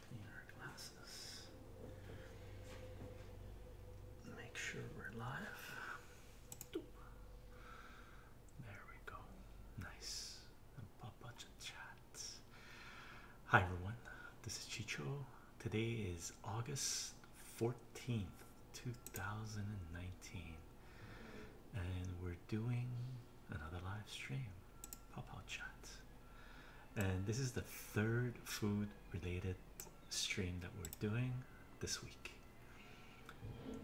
Clean our glasses. Make sure we're live. There we go. Nice. A bunch of chat. Hi everyone. This is Chicho. Today is August 14th, 2019. And we're doing another live stream, pop out chat. And this is the third food related stream that we're doing this week.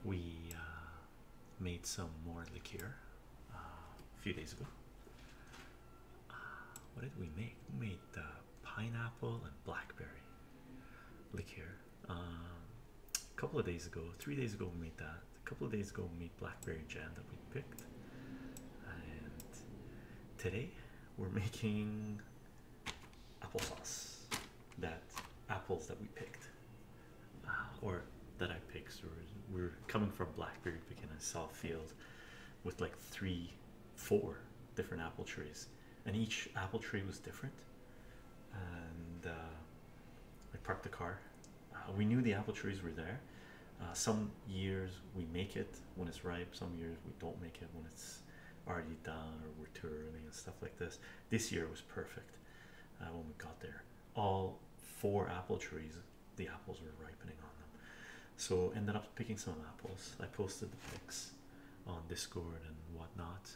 We uh, made some more liqueur uh, a few days ago. Uh, what did we make? We made the pineapple and blackberry liqueur. Um, a couple of days ago, three days ago, we made that a couple of days ago made blackberry jam that we picked and today we're making applesauce that apples that we picked uh, or that I picked so we're, coming from blackberry picking in Southfield, with like three four different apple trees and each apple tree was different and uh, I parked the car uh, we knew the apple trees were there. Uh, some years we make it when it's ripe, some years we don't make it when it's already done or we're too early and stuff like this. This year was perfect uh, when we got there. All four apple trees, the apples were ripening on them. So ended up picking some apples. I posted the pics on Discord and whatnot.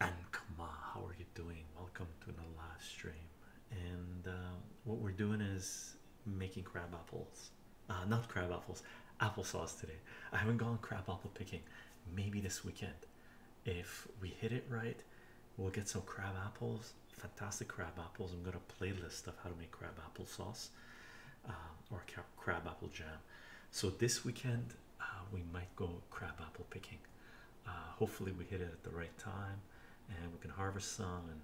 And come how are you doing? Welcome to the last stream and um, what we're doing is making crab apples uh, not crab apples applesauce today i haven't gone crab apple picking maybe this weekend if we hit it right we'll get some crab apples fantastic crab apples i'm gonna playlist stuff how to make crab apple sauce um, or crab apple jam so this weekend uh, we might go crab apple picking uh, hopefully, we hit it at the right time and we can harvest some. And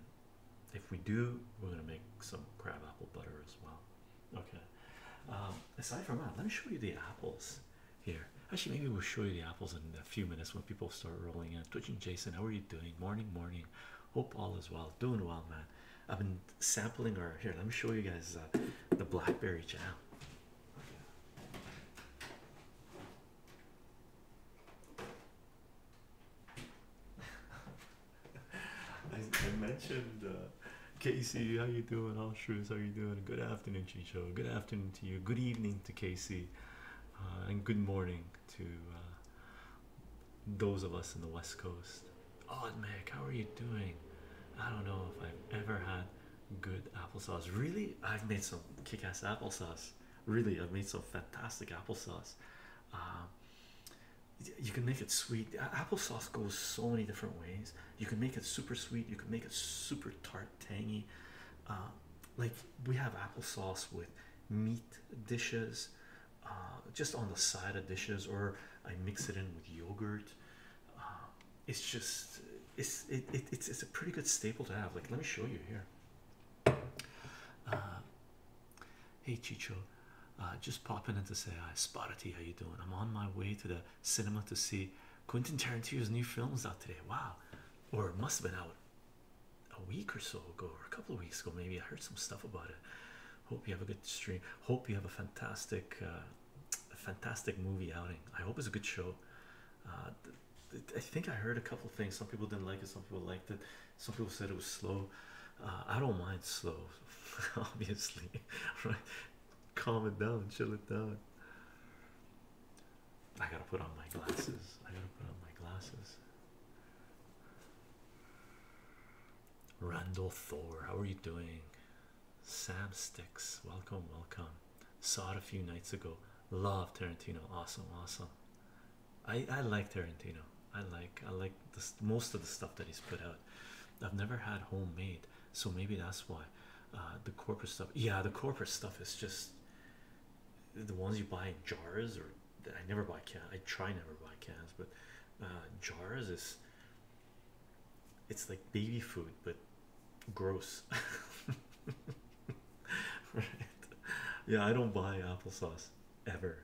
if we do, we're going to make some crabapple butter as well. Okay, um, aside from that, let me show you the apples here. Actually, maybe we'll show you the apples in a few minutes when people start rolling in. Twitching Jason, how are you doing? Morning, morning. Hope all is well. Doing well, man. I've been sampling our here. Let me show you guys uh, the blackberry jam. I, I mentioned uh, Casey, how you doing? All shrews, how you doing? Good afternoon, Chicho. Good afternoon to you. Good evening to Casey, uh, and good morning to uh, those of us in the West Coast. Odd oh, Meg, how are you doing? I don't know if I've ever had good applesauce. Really, I've made some kick-ass applesauce. Really, I've made some fantastic applesauce. Um, you can make it sweet. Applesauce goes so many different ways. You can make it super sweet. You can make it super tart, tangy. Uh, like we have applesauce with meat dishes, uh, just on the side of dishes, or I mix it in with yogurt. Uh, it's just it's it, it's it's a pretty good staple to have. Like let me show you here. Uh, hey Chicho, uh, just popping in to say hi. Spotty, how you doing? I'm on my way to the cinema to see Quentin Tarantino's new films out today. Wow, or it must have been out a week or so ago, or a couple of weeks ago. Maybe I heard some stuff about it. Hope you have a good stream. Hope you have a fantastic, uh, fantastic movie outing. I hope it's a good show. I think I heard a couple things. Some people didn't like it. Some people liked it. Some people said it was slow. Uh, I don't mind slow, obviously. Right? Calm it down. Chill it down. I gotta put on my glasses. I gotta put on my glasses. Randall Thor, how are you doing? Sam Sticks, welcome, welcome. Saw it a few nights ago love Tarantino. Awesome, awesome. I I like Tarantino. I like I like this most of the stuff that he's put out. I've never had homemade, so maybe that's why. Uh, the corporate stuff, yeah, the corporate stuff is just the ones you buy in jars, or I never buy cans. I try never buy cans, but uh, jars is it's like baby food, but gross. right? Yeah, I don't buy applesauce ever,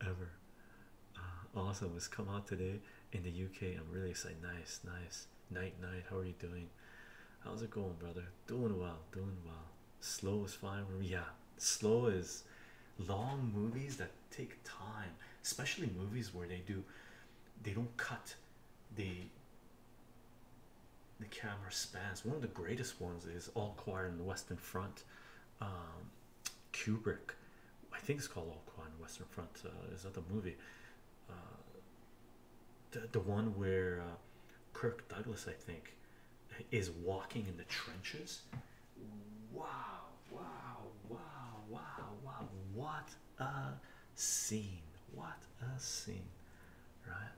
ever. Uh, awesome, it's come out today in the UK. I'm really excited. Nice, nice. Night, night. How are you doing? How's it going, brother? Doing well, doing well. Slow is fine. Yeah, slow is long movies that take time, especially movies where they do, they don't cut, they the camera spans one of the greatest ones is all quiet in the western front um kubrick i think it's called all quiet in the western front uh, is that the movie uh, the, the one where uh, kirk douglas i think is walking in the trenches wow wow wow wow wow what a scene what a scene right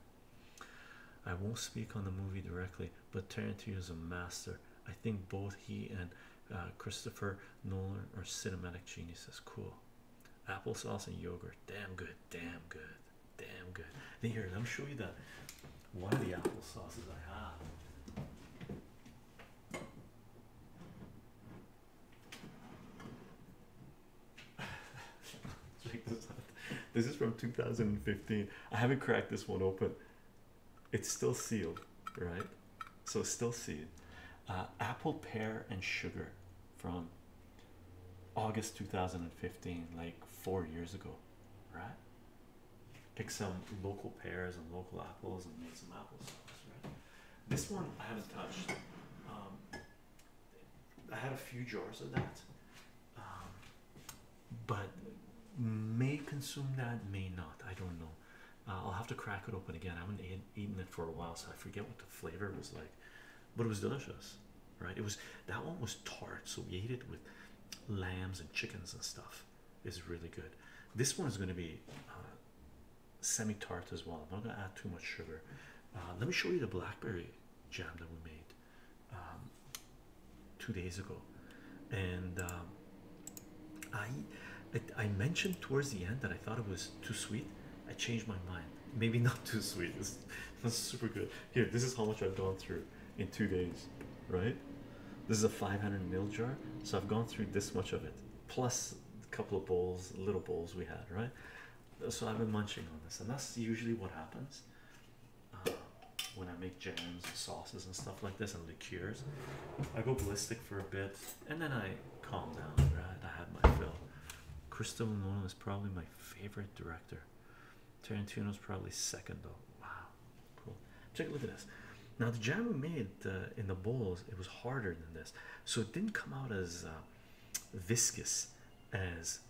I won't speak on the movie directly, but Tarantino is a master. I think both he and uh, Christopher Nolan are cinematic geniuses. Cool. Applesauce and yogurt. Damn good. Damn good. Damn good. Here, let me show you that one of the apple I have. this is from 2015. I haven't cracked this one open. It's still sealed, right? So still sealed. Uh, apple, pear, and sugar from August 2015, like four years ago, right? Pick some local pears and local apples and make some apple sauce, right? This one I haven't touched. Um, I had a few jars of that, um, but may consume that, may not. I don't know. Uh, I'll have to crack it open again. I haven't eaten it for a while, so I forget what the flavor was like, but it was delicious, right? It was that one was tart, so we ate it with lambs and chickens and stuff. It's really good. This one is going to be uh, semi tart as well. I'm not going to add too much sugar. Uh, let me show you the blackberry jam that we made. Um, two days ago, and um, I, I mentioned towards the end that I thought it was too sweet. I changed my mind. Maybe not too sweet. It's, it's super good. Here, this is how much I've gone through in two days, right? This is a 500 mil jar, so I've gone through this much of it, plus a couple of bowls, little bowls we had, right? So I've been munching on this, and that's usually what happens uh, when I make jams and sauces and stuff like this and liqueurs. I go ballistic for a bit and then I calm down, right? I had my fill. Christopher Nolan is probably my favorite director. Tarantino is probably second though. Wow, cool. Check look at this. Now the jam we made uh, in the bowls, it was harder than this, so it didn't come out as uh, viscous as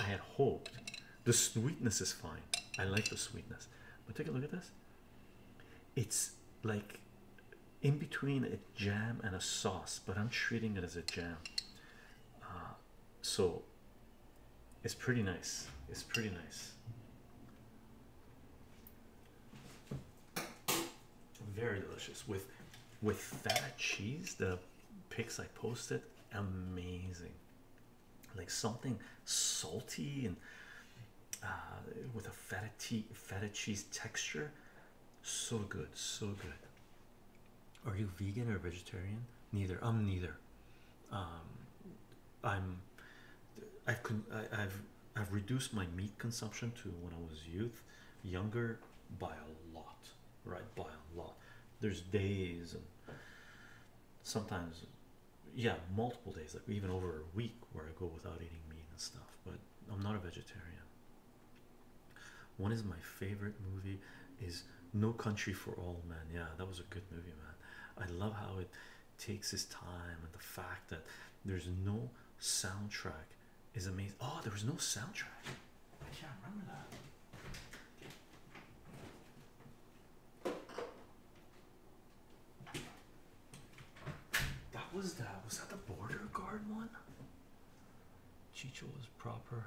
I had hoped. The sweetness is fine. I like the sweetness. But take a look at this. It's like in between a jam and a sauce, but I'm treating it as a jam. Uh, so it's pretty nice. It's pretty nice. Very delicious with with that cheese. The pics I posted, amazing like something salty and uh, with a feta, cheese texture. So good, so good. Are you vegan or vegetarian? Neither. I'm neither. Um, I'm. I've I've I've reduced my meat consumption to when I was youth, younger by a lot, right? By a lot there's days and sometimes yeah multiple days like even over a week where i go without eating meat and stuff but i'm not a vegetarian one is my favorite movie is no country for all men yeah that was a good movie man i love how it takes its time and the fact that there's no soundtrack is amazing oh there was no soundtrack I can't remember that. That was that. Was that the border guard one? Chicho was proper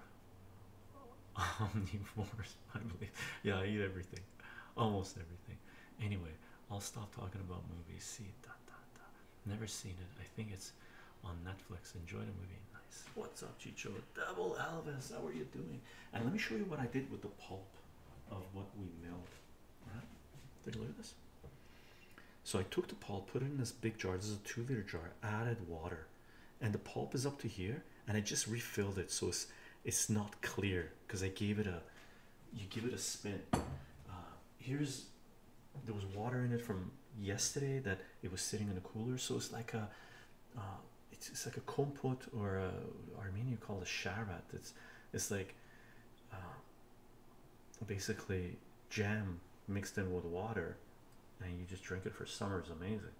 omnivores, I believe. Yeah, I eat everything, almost everything. Anyway, I'll stop talking about movies. See, da, da, da. never seen it. I think it's on Netflix. Enjoy the movie. What's up, Chicho? Double Elvis. How are you doing? And let me show you what I did with the pulp of what we milled. Right? Take a look at this. So I took the pulp, put it in this big jar. This is a two-liter jar. Added water, and the pulp is up to here. And I just refilled it, so it's it's not clear because I gave it a. You give it a spin. Uh, here's there was water in it from yesterday that it was sitting in a cooler, so it's like a. Uh, it's, it's like a kompot or a Armenian call it sharat. It's it's like uh, basically jam mixed in with water, and you just drink it for summer. It's amazing.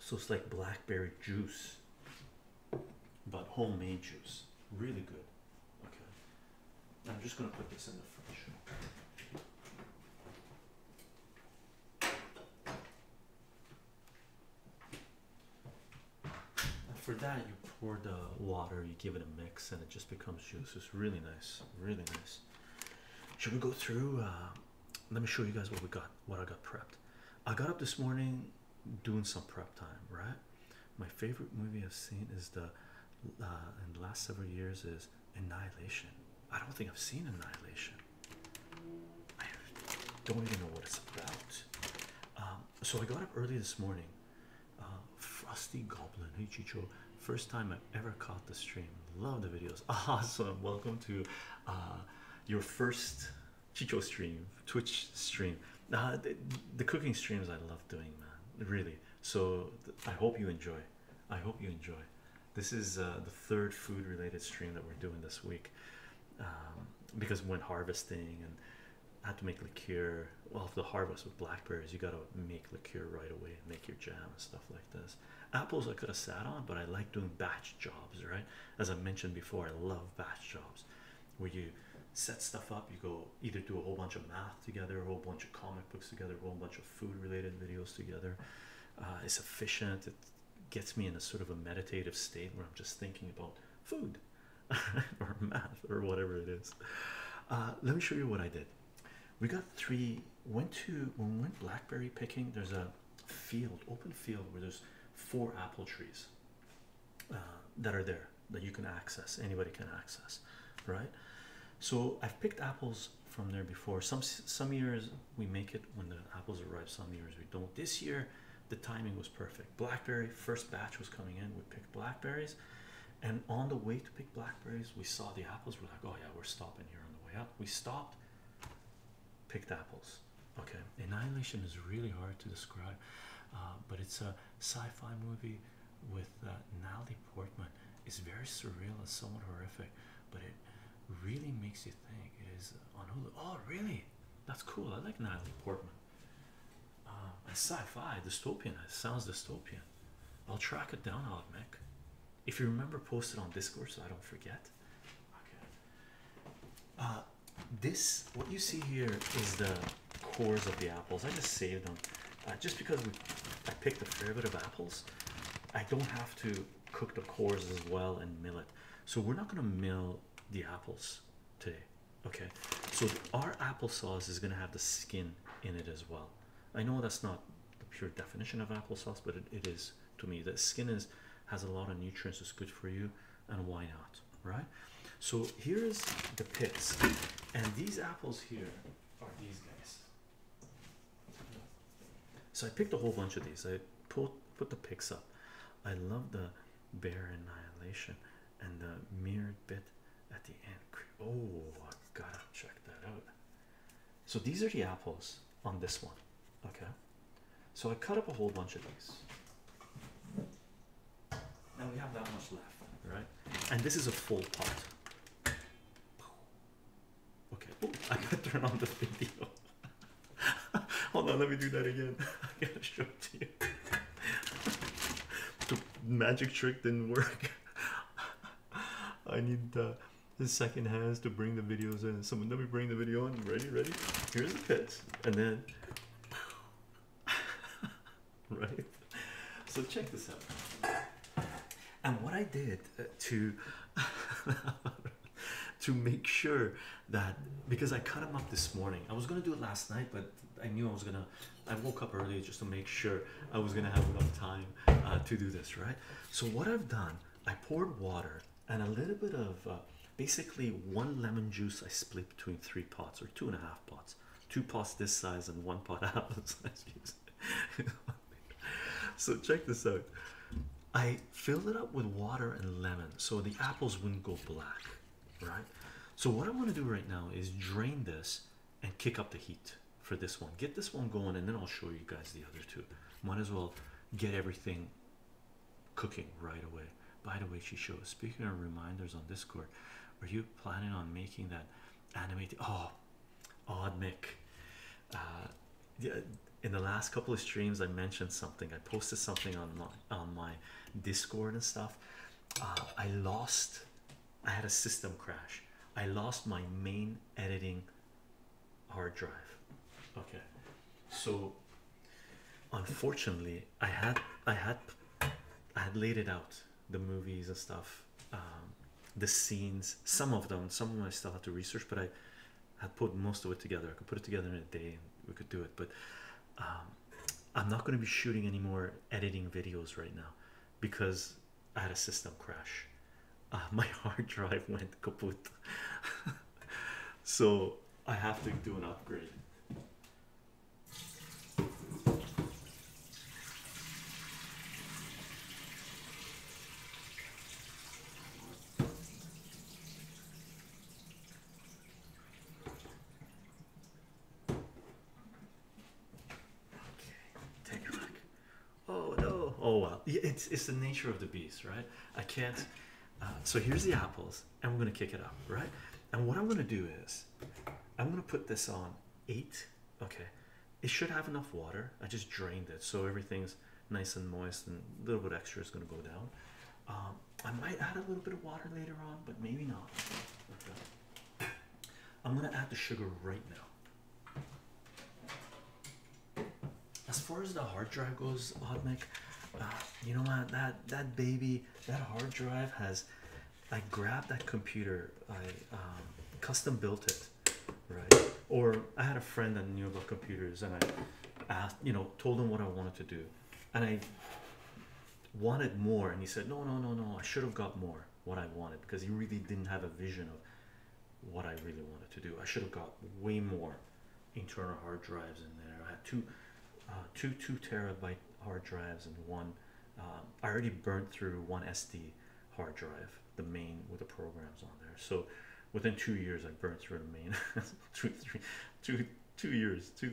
So it's like blackberry juice, but homemade juice. Really good. Okay, I'm just gonna put this in the fridge. And for that, you pour the water, you give it a mix, and it just becomes juice. It's really nice, really nice. Should we go through? Uh, let me show you guys what we got, what I got prepped. I got up this morning doing some prep time, right? My favorite movie I've seen is the uh, in the last several years is Annihilation. I don't think I've seen Annihilation. I don't even know what it's about. Um, so I got up early this morning. Uh, Frosty Goblin. Hey Chicho. First time I've ever caught the stream. Love the videos. Awesome. Welcome to uh, your first Chicho stream, Twitch stream. Uh, the cooking streams I love doing, man. Really. So I hope you enjoy. I hope you enjoy. This is uh, the third food related stream that we're doing this week um, because when harvesting and I had to make liqueur. Well, if the harvest with blackberries, you got to make liqueur right away and make your jam and stuff like this. Apples I could have sat on, but I like doing batch jobs, right? As I mentioned before, I love batch jobs where you set stuff up, you go either do a whole bunch of math together, a whole bunch of comic books together, a whole bunch of food related videos together. Uh, it's efficient it gets me in a sort of a meditative state where i'm just thinking about food or math or whatever it is uh, let me show you what i did we got three went to we went blackberry picking there's a field open field where there's four apple trees uh, that are there that you can access anybody can access right so i've picked apples from there before. Some some years we make it when the apples arrive. Some years we don't. This year, the timing was perfect. Blackberry first batch was coming in. We picked blackberries, and on the way to pick blackberries, we saw the apples. We're like, oh yeah, we're stopping here on the way up. We stopped, picked apples. Okay, Annihilation is really hard to describe, uh, but it's a sci-fi movie with uh, Natalie Portman. It's very surreal It's somewhat horrific, but it really makes you think is on Hulu. Oh, really? That's cool. I like Natalie Portman. Um, sci-fi dystopian. It sounds dystopian. I'll track it down, I'll admit. If you remember, post it on Discord so I don't forget. Okay. Uh, this what you see here is the cores of the apples. I just saved them, uh, just because we, I picked a fair bit of apples. I don't have to Cook the cores as well and mill it. so we're not going to mill the apples today okay so our applesauce is going to have the skin in it as well i know that's not the pure definition of applesauce but it, it is to me that skin is has a lot of nutrients it's good for you and why not right so here's the pits and these apples here are these guys so I picked a whole bunch of these. I put put the picks up. I love the bear annihilation and the mirrored bit at the end. Oh, I gotta check that out. So these are the apples on this one. Okay. So I cut up a whole bunch of these. Now we have that much left, right? And this is a full pot. Okay, oh, I gotta turn on the video. Hold on, let me do that again. I gotta show it to you. the magic trick didn't work. I need the second hands to bring the videos in. Someone let me bring the video in. Ready, ready? Here's the pitch. And then right? So check this out. And what I did uh, to to make sure that because I cut them up this morning. I was gonna do it last night, but I knew I was gonna. I woke up early just to make sure I was gonna have enough time uh, to do this, right? So what I've done, I poured water and a little bit of uh, basically one lemon juice. I split between three pots or two and a half pots, two pots this size and one pot out of size so check this out. I filled it up with water and lemon so the apples wouldn't go black, right? So what I want to do right now is drain this and kick up the heat for this one. Get this one going and then I'll show you guys the other two. Might as well get everything cooking right away. By the way, she shows speaking of reminders on Discord. Are you planning on making that animated? Oh odd Mick. Uh, in the last couple of streams, I mentioned something. I posted something on my, on my Discord and stuff. Uh, I lost. I had a system crash. I lost my main editing hard drive. Okay, so unfortunately, I had I had I had laid it out the movies and stuff. Um, the scenes, some of them, some of them I still have to research, but I had put most of it together. I could put it together in a day and we could do it, but um, I'm not going to be shooting any more editing videos right now because I had a system crash. Uh, my hard drive went kaput, so I have to do an upgrade. Take it back. Oh no! Oh well, it's it's the nature of the beast, right? I can't. Uh, so here's the apples, and we're gonna kick it up, right? And what I'm gonna do is, I'm gonna put this on eight. Okay, it should have enough water. I just drained it so everything's nice and moist, and a little bit extra is going to go down. Um, I might add a little bit of water later on, but maybe not. Okay. I'm going to add the sugar right now. As far as the hard drive goes, Odmic, uh, you know what? That that baby, that hard drive has. I grabbed that computer. I um, custom built it right? Or I had a friend that knew about computers, and I asked, you know, told him what I wanted to do, and I wanted more, and he said, No, no, no, no, I should have got more what I wanted because he really didn't have a vision of what I really wanted to do. I should have got way more internal hard drives in there. I had two, uh, two two terabyte hard drives and one. Um, I already burnt through one SD hard drive the main with the programs on there. So within two years, I burned through the main. two, three, two, two years, two,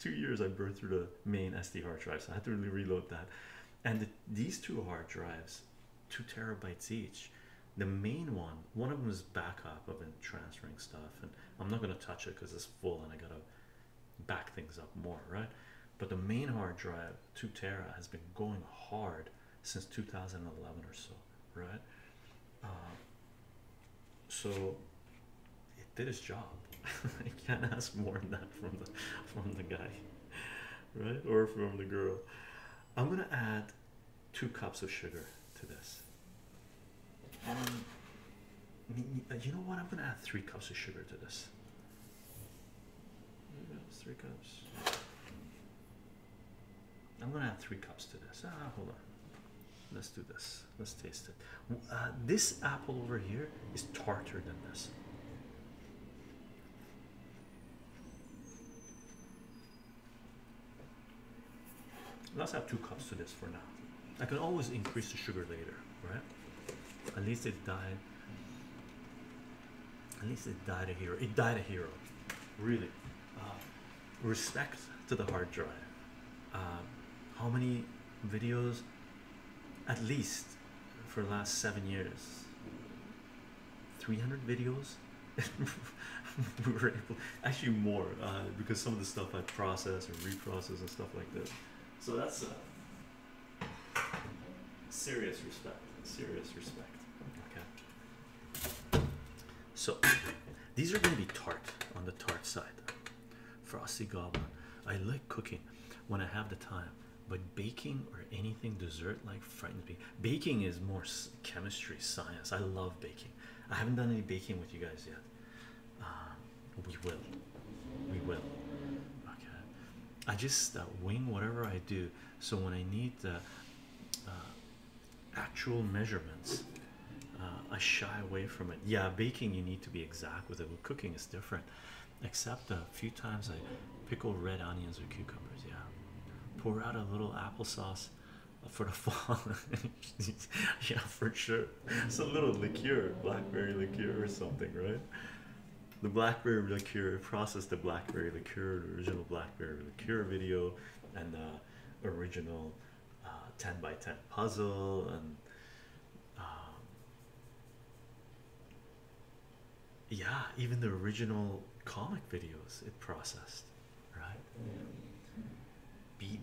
two years, I burned through the main SD hard drive. So I had to really reload that. And these two hard drives, two terabytes each. The main one, one of them is backup. I've been transferring stuff, and I'm not gonna touch it because it's full, and I gotta back things up more, right? But the main hard drive, two tera, has been going hard since 2011 or so, right? Um, so it did its job. I can't ask more than that from the from the guy, right? Or from the girl. I'm gonna add two cups of sugar to this. Um, you know what? I'm gonna add three cups of sugar to this. Three cups. I'm gonna add three cups to this. Ah, hold on. Let's do this. Let's taste it. Uh, this apple over here is tartar than this. Let's add two cups to this for now. I can always increase the sugar later, right? At least it died. At least it died a hero. It died a hero, really. Um, respect to the hard drive. Um, how many videos, at least for the last seven years, 300 videos? we were able, actually, more uh, because some of the stuff I process and reprocess and stuff like this. So that's uh, serious respect. Serious respect. Okay. So these are going to be tart on the tart side. Frosty Goblin. I like cooking when I have the time, but baking or anything dessert like frightens me. Baking is more chemistry, science. I love baking. I haven't done any baking with you guys yet. Um, we will. We will. Okay. I just uh, wing whatever I do. So when I need uh, actual measurements. Uh, I shy away from it. Yeah, baking you need to be exact with it. But cooking is different, except a few times I pickle red onions or cucumbers. Yeah, pour out a little applesauce for the fall. yeah, for sure. It's a little liqueur, blackberry liqueur or something, right? The blackberry liqueur process, the blackberry liqueur, original blackberry liqueur video and the original uh, 10 by 10 puzzle and um, yeah even the original comic videos it processed right B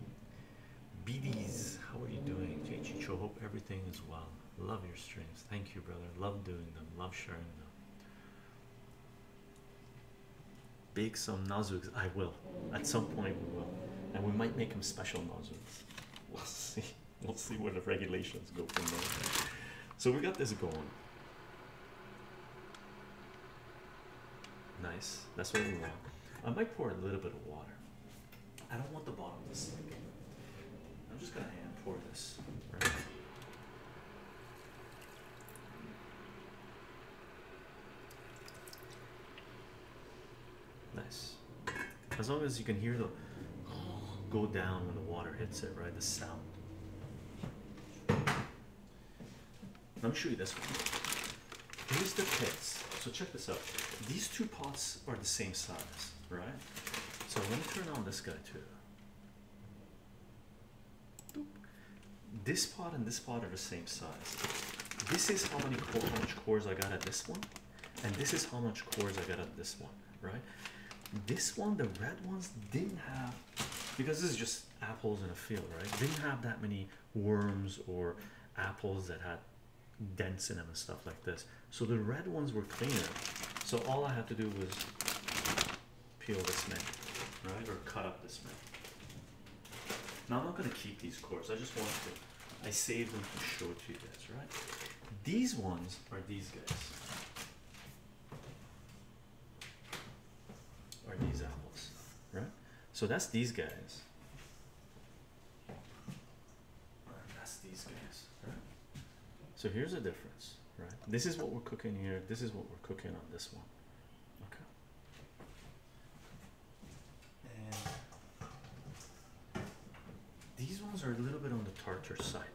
BDs how are you doing Chicho hope everything is well love your streams thank you brother love doing them love sharing them Bake some nozzles. I will. At some point we will. And we might make them special nozzles. We'll see. We'll see where the regulations go from there. So we got this going. Nice. That's what we want. I might pour a little bit of water. I don't want the bottom to sink. I'm just gonna hand pour this. Right? Nice. As long as you can hear the go down when the water hits it, right? The sound. Let me show you this one. Here's the pits. So check this out. These two pots are the same size, right? So let me turn on this guy too. This part and this part are the same size. This is how many how much cores I got at this one, and this is how much cores I got at this one, right? This one, the red ones, didn't have because this is just apples in a field, right? Didn't have that many worms or apples that had dents in them and stuff like this. So the red ones were cleaner. So all I had to do was peel this man, right? Or cut up this man. Now I'm not gonna keep these cores. I just want to. I save them to show to you guys, right? These ones are these guys. Are these apples, right? So that's these guys. That's these guys, right? So here's the difference, right? This is what we're cooking here. This is what we're cooking on this one. Okay. And these ones are a little bit on the tartar side.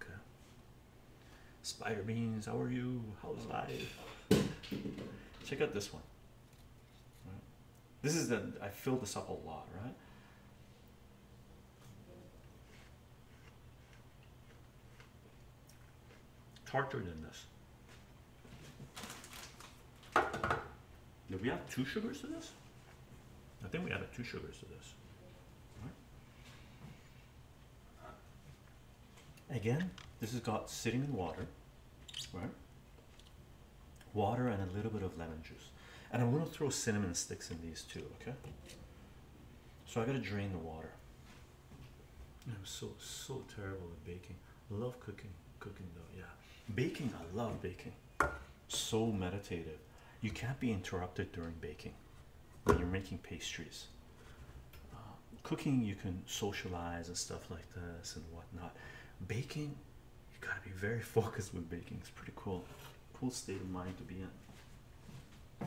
Okay. Spider beans, how are you? How's life? Check out this one. This is the I filled this up a lot, right? tartar than this. Did we add two sugars to this? I think we added two sugars to this. Again, this has got cinnamon water, right? Water and a little bit of lemon juice. And I'm gonna throw cinnamon sticks in these too, okay? So I gotta drain the water. I'm so so terrible at baking. Love cooking, cooking though. Yeah, baking. I love baking. So meditative. You can't be interrupted during baking when you're making pastries. Uh, cooking, you can socialize and stuff like this and whatnot. Baking, you gotta be very focused with baking. It's pretty cool. Cool state of mind to be in.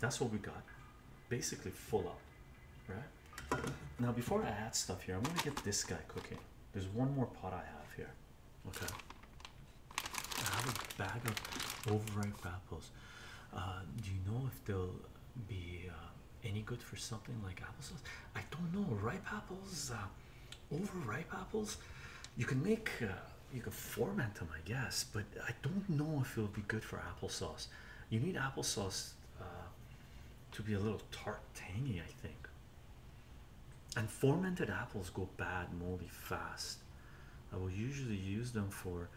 That's what we got. Basically full up. Right? Now before I add stuff here, I'm gonna get this guy cooking. There's one more pot I have here. Okay. I have a bag of overripe apples. Uh, do you know if they'll be uh, any good for something like applesauce? I don't know. Ripe apples, uh, overripe apples. You can make you could ferment them, I guess, but I don't know if it would be good for applesauce. You need applesauce uh, to be a little tart, tangy, I think. And fermented apples go bad moldy fast. I will usually use them for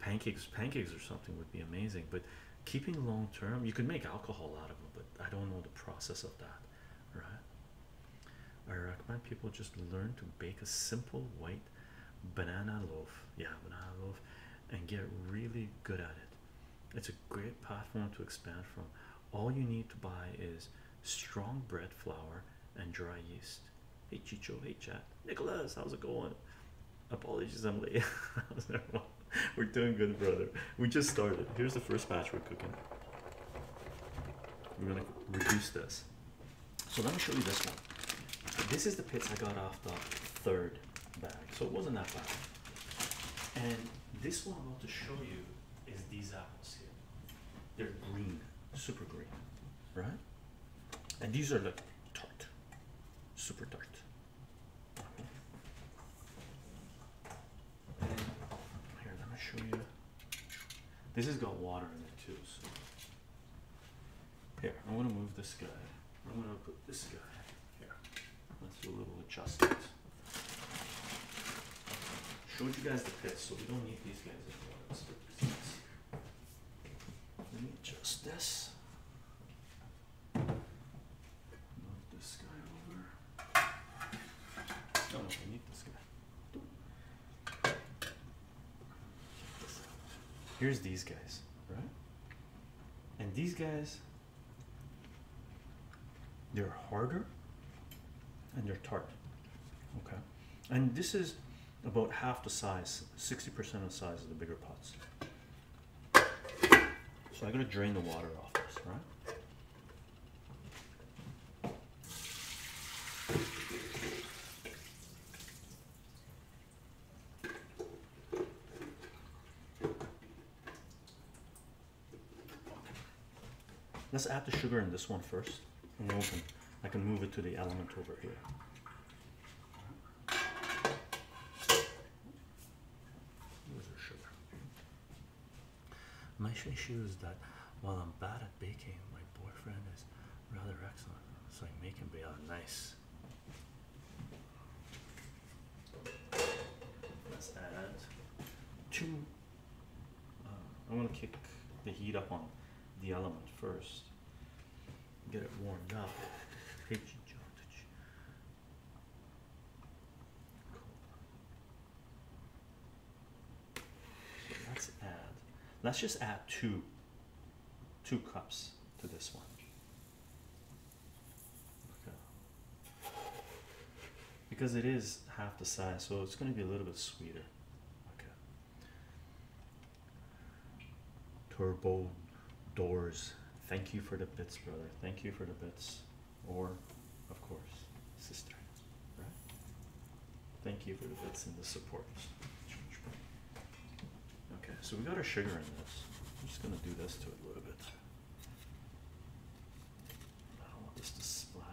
pancakes. Pancakes or something would be amazing, but keeping long term, you could make alcohol out of them, but I don't know the process of that, right? I recommend people just learn to bake a simple white banana loaf yeah banana loaf and get really good at it it's a great platform to expand from all you need to buy is strong bread flour and dry yeast hey chicho hey chat nicholas how's it going apologies i'm late we're doing good brother we just started here's the first batch we're cooking we're gonna reduce this so let me show you this one. This is the pits I got off the third bag, so it wasn't that bad. And this one I'm about to show you is these apples here. They're green, super green, right? And these are like tart, super tart. Here, let me show you. This has got water in it too, so here, I'm going to move this guy. I'm going to put this guy here. Let's do a little adjustment. Showed you guys the pits, so we don't need these guys anymore. let me adjust this. Move this guy over. Oh no, I need this guy. Here's these guys, right? And these guys, they're harder and they're tart. Okay. And this is about half the size, 60% of the size of the bigger pots. So I'm going to drain the water off this, right? Let's add the sugar in this one first and open. I can move it to the element over here. sugar? My issue is that while I'm bad at baking, my boyfriend is rather excellent, so I make him be out nice. Let's add two. I want to kick the heat up on the element first, get it warmed up. Let's add. Let's just add two two cups to this one. Okay. Because it is half the size, so it's going to be a little bit sweeter. Okay. Turbo doors. Thank you for the bits, brother. Thank you for the bits. Or, of course, sister. Right? Thank you for the bits and the support. Okay, so we got our sugar in this. I'm just gonna do this to it a little bit. I don't want this to splatter.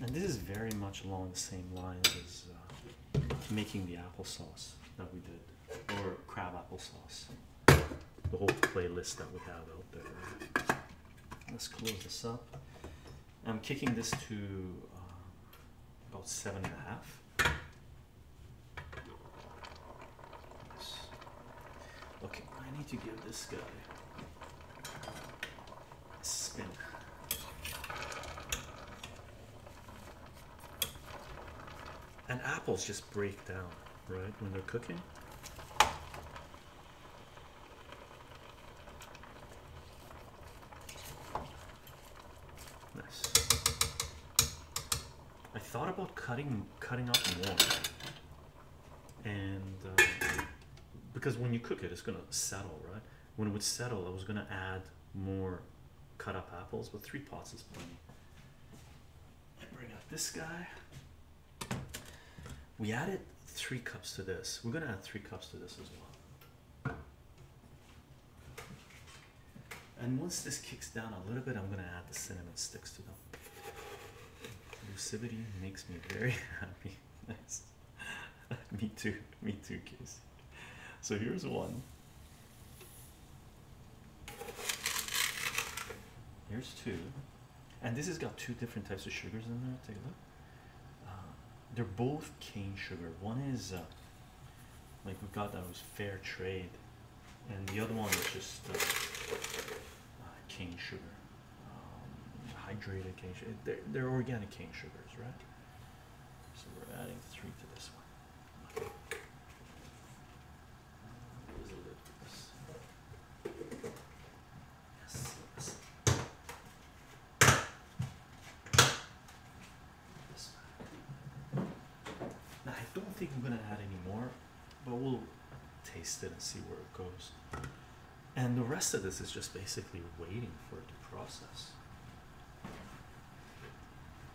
And this is very much along the same lines as uh, making the apple sauce that we did, or crab apple sauce the whole playlist that we have out there. Let's close this up. I'm kicking this to uh, about seven and a half. Okay, I need to give this guy a spin. And apples just break down right, when they're cooking. Nice. I thought about cutting cutting up more, and uh, because when you cook it, it's gonna settle, right? When it would settle, I was gonna add more cut up apples, but three pots is plenty. And bring out this guy. We added three cups to this. We're going to add three cups to this as well. And once this kicks down a little bit, I'm going to add the cinnamon sticks to them. Lucidity makes me very happy. me too. Me too, Casey. So here's one. Here's two and this has got two different types of sugars in there. Take a look. Uh, they're both cane sugar. One is uh, like we got that was fair trade, and the other one is just uh, cane sugar, um, hydrated cane sugar. They're, they're organic cane sugars, right? So we're adding three to this one now, I don't think I'm gonna add any more, but we'll taste it and see where it goes. And the rest of this is just basically waiting for it to process.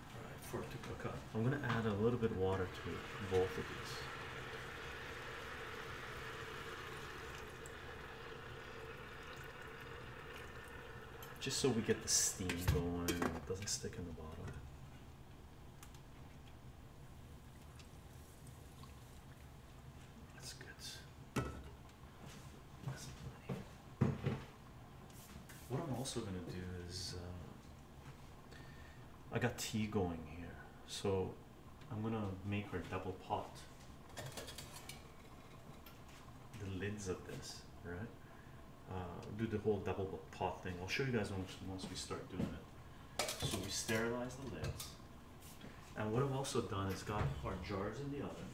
All right, for it to cook up. I'm going to add a little bit of water to both of these. Just so we get the steam going and it doesn't stick in the bottom. That's good. What I'm also going to do is uh, I got tea going here, so I'm gonna make our double pot. The lids of this, right? Uh, do the whole double pot thing. I'll show you guys once, we start doing it. So we sterilize the lids. And what I've also done is got our jars in the oven.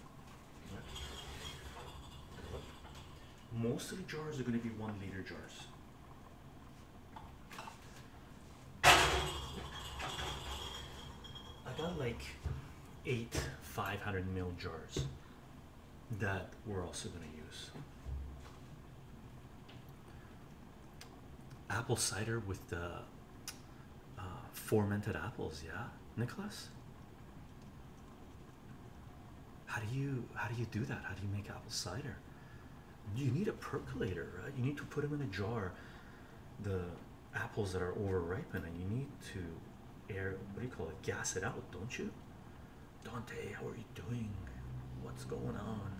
Most of the jars are going to be one liter jars. I got like eight 500 mil jars that we're also going to use. Apple cider with the uh, fermented apples, yeah, Nicholas. How do you how do you do that? How do you make apple cider? you need a percolator, right? You need to put them in a jar. The apples that are overripened, and you need to air what do you call it? Gas it out, don't you? Dante, how are you doing? What's going on?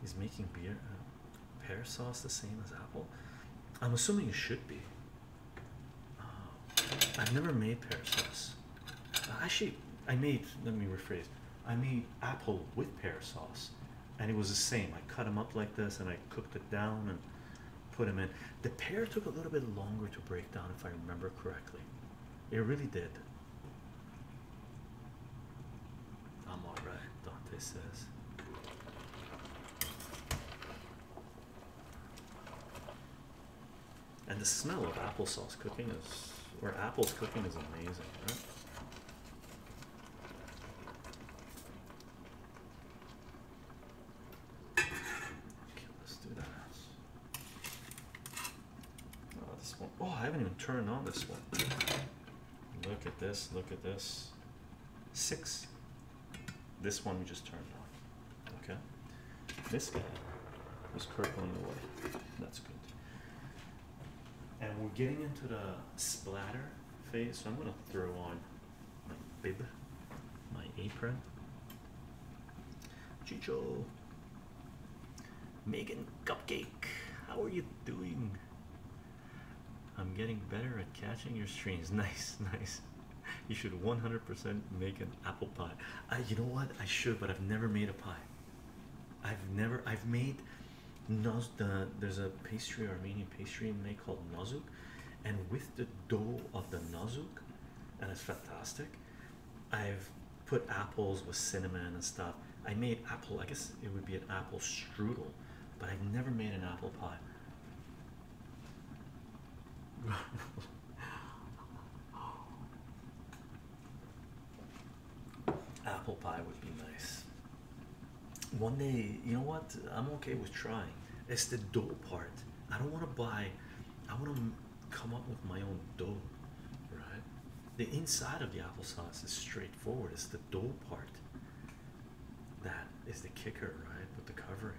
He's making beer uh, pear sauce the same as apple. I'm assuming it should be. Uh, I've never made pear sauce. Uh, actually, I made. Let me rephrase. I mean apple with pear sauce, and it was the same. I cut them up like this, and I cooked it down and put them in. The pear took a little bit longer to break down, if I remember correctly. It really did. I'm all right, Dante says. And the smell of applesauce cooking is, or apples cooking is amazing, Okay, let's do that. Oh, this one. Oh, I haven't even turned on this one. Look at this. Look at this. Six. This one we just turned on. Okay. This guy was purple in the way. That's good and we're getting into the splatter phase. So I'm gonna throw on my bib, my apron. Chicho, Megan Cupcake, how are you doing? I'm getting better at catching your streams. Nice, nice. You should 100% make an apple pie. you know what? I should, but I've never made a pie. I've never. I've made there's a pastry, Armenian pastry made called Nazuk, and with the dough of the Nazuk, and it's fantastic. I've put apples with cinnamon and stuff. I made apple, I guess it would be an apple strudel, but I've never made an apple pie. Apple pie would be nice. One day, you know what? I'm okay with trying. It's the dough part. I don't want to buy, I want to come up with my own dough, right? The inside of the applesauce is straightforward. It's the dough part that is the kicker, right? With the covering.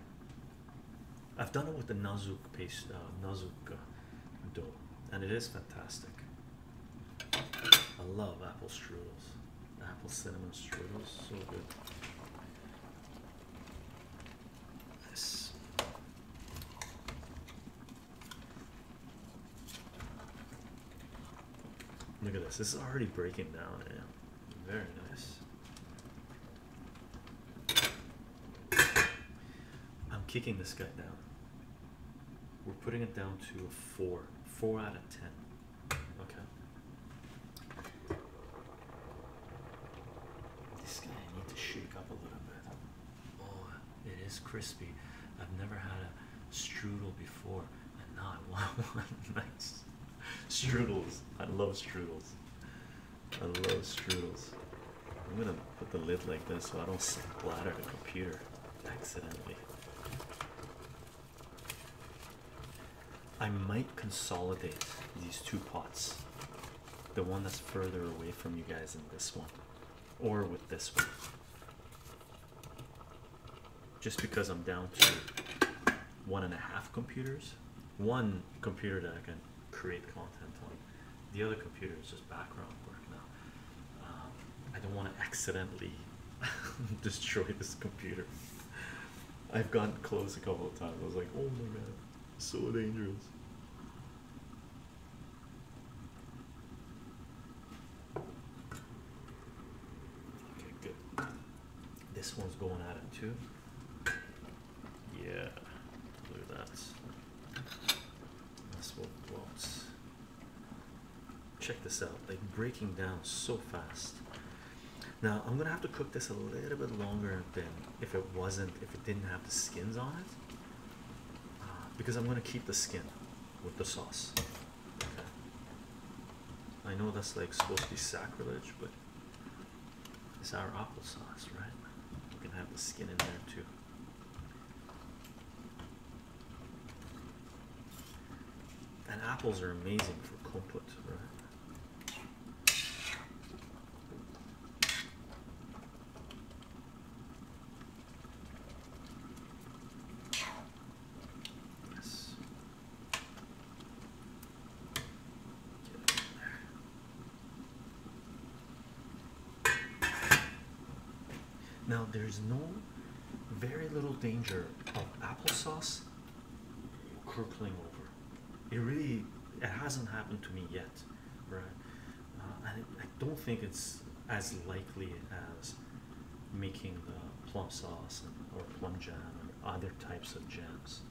I've done it with the Nazuk paste, uh, uh, dough, and it is fantastic. I love apple strudels, apple cinnamon strudels, so good. This. Look at this. This is already breaking down. Yeah. Very nice. I'm kicking this guy down. We're putting it down to a four, four out of ten. Okay. This guy needs to shake up a little bit. Oh, it is crispy. I've never had a strudel before, I know I want one. nice strudels. I love strudels. I love strudels. I'm gonna put the lid like this so I don't splatter the computer accidentally. I might consolidate these two pots the one that's further away from you guys in this one or with this one just because I'm down to one and a half computers one computer that I can create content on the other computer is just background work now um, I don't want to accidentally destroy this computer. I've gotten close a couple of times. I was like, oh my god, so dangerous. Okay, good. This one's going out of too. Yeah, look at that. That's what blocks. Check this out, like breaking down so fast. Now I'm gonna have to cook this a little bit longer than if it wasn't, if it didn't have the skins on it, uh, because I'm gonna keep the skin with the sauce. I know that's like supposed to be sacrilege, but it's our apple sauce, right? We can have the skin in there too. And apples are amazing for compote, right? Yes. Now, there's no very little danger of applesauce curdling over. It really it hasn't happened to me yet, right? Uh, and I don't think it's as likely as making the plum sauce or plum jam and other types of jams.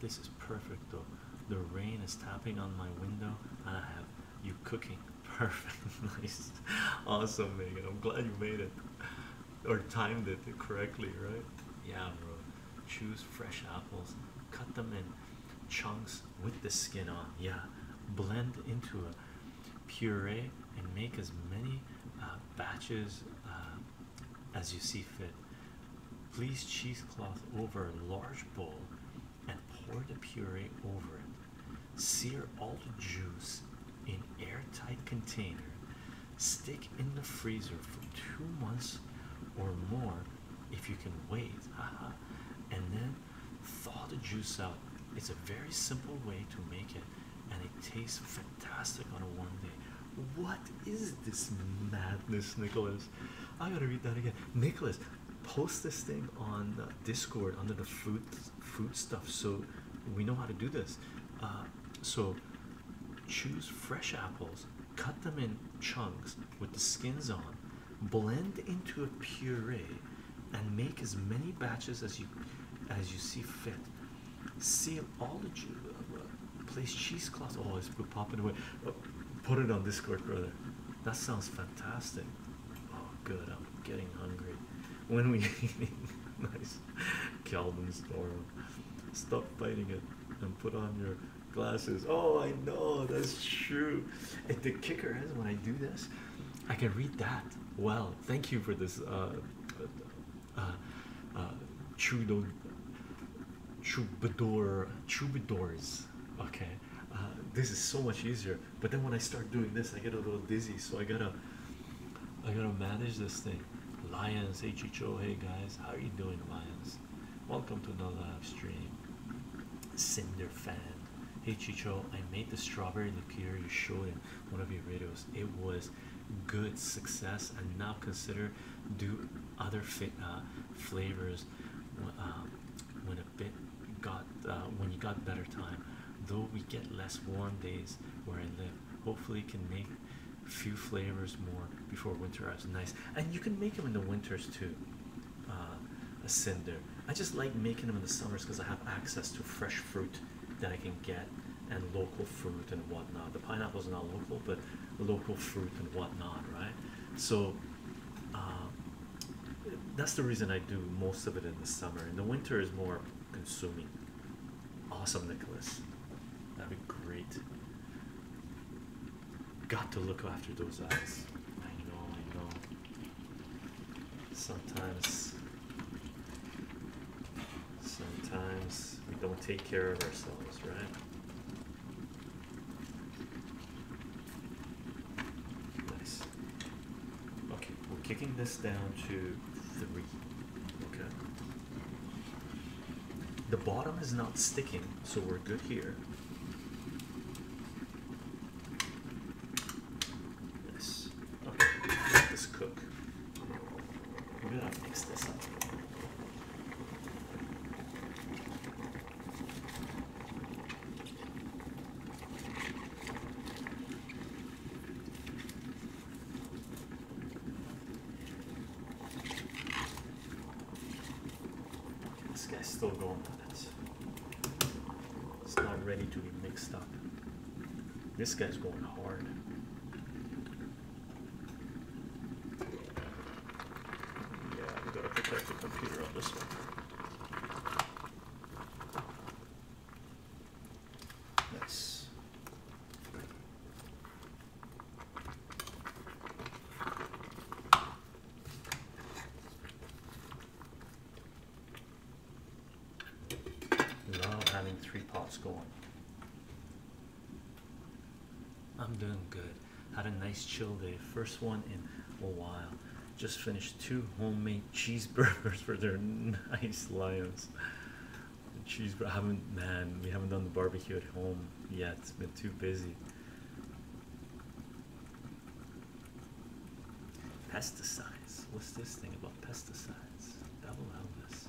This is perfect though. The rain is tapping on my window, and I have you cooking. Perfect, nice, awesome, Megan. I'm glad you made it or timed it correctly, right? Yeah, bro. Choose fresh apples, cut them in chunks with the skin on. Yeah, blend into a puree and make as many uh, batches uh, as you see fit. Place cheesecloth over a large bowl and pour the puree over it. Sear all the juice in airtight container. Stick in the freezer for two months or more if you can wait. Haha. and then thaw the juice out. It's a very simple way to make it and it tastes fantastic on a warm day. What is this madness, Nicholas? I gotta read that again. Nicholas, post this thing on Discord under the food food stuff so we know how to do this. Uh, so choose fresh apples, cut them in chunks with the skins on, blend into a puree, and make as many batches as you as you see fit. Seal all the juice. Uh, place cheesecloth. Oh, it's popping away. Put it on Discord, brother. That sounds fantastic. Oh, good. I'm getting hungry. When we eating, nice. Calvin Storm. Stop biting it and put on your glasses. Oh, I know that's true. And the kicker is when I do this, I can read that. Well, thank you for this. Uh, uh, uh, Troubadour, troubadours, Okay, uh, this is so much easier. But then when I start doing this, I get a little dizzy. So I gotta, I gotta manage this thing. Lions, hey HHO, hey guys, how are you doing, Lions? Welcome to another live stream. Cinder fan, HHO, I made the strawberry liqueur you showed in one of your videos. It was good success, and now consider do other uh, flavors um, when a bit got uh, when you got better time though we get less warm days where i live hopefully can make few flavors more before winter arrives nice and you can make them in the winters too uh, a cinder i just like making them in the summers because i have access to fresh fruit that i can get and local fruit and whatnot the pineapples are not local but local fruit and whatnot right so um, that's the reason I do most of it in the summer. and the winter is more consuming. Awesome, Nicholas. That'd be great. Got to look after those eyes. I know, I know. Sometimes, sometimes we don't take care of ourselves, right? Nice. Okay, we're kicking this down to three. Okay. The bottom is not sticking, so we're good here. Yes. Okay, let this cook. We're gonna mix this up. This guy's still going with it. It's not ready to be mixed up. This guy's going hard. Yeah, i got to protect the computer on this one. Nice. Love having three pots going. I'm doing good. Had a nice chill day. First one in a while. Just finished two homemade cheeseburgers for their nice lions. Cheeseburger. man, we haven't done the barbecue at home yet. It's been too busy. Pesticides. What's this thing about pesticides? Double Elvis.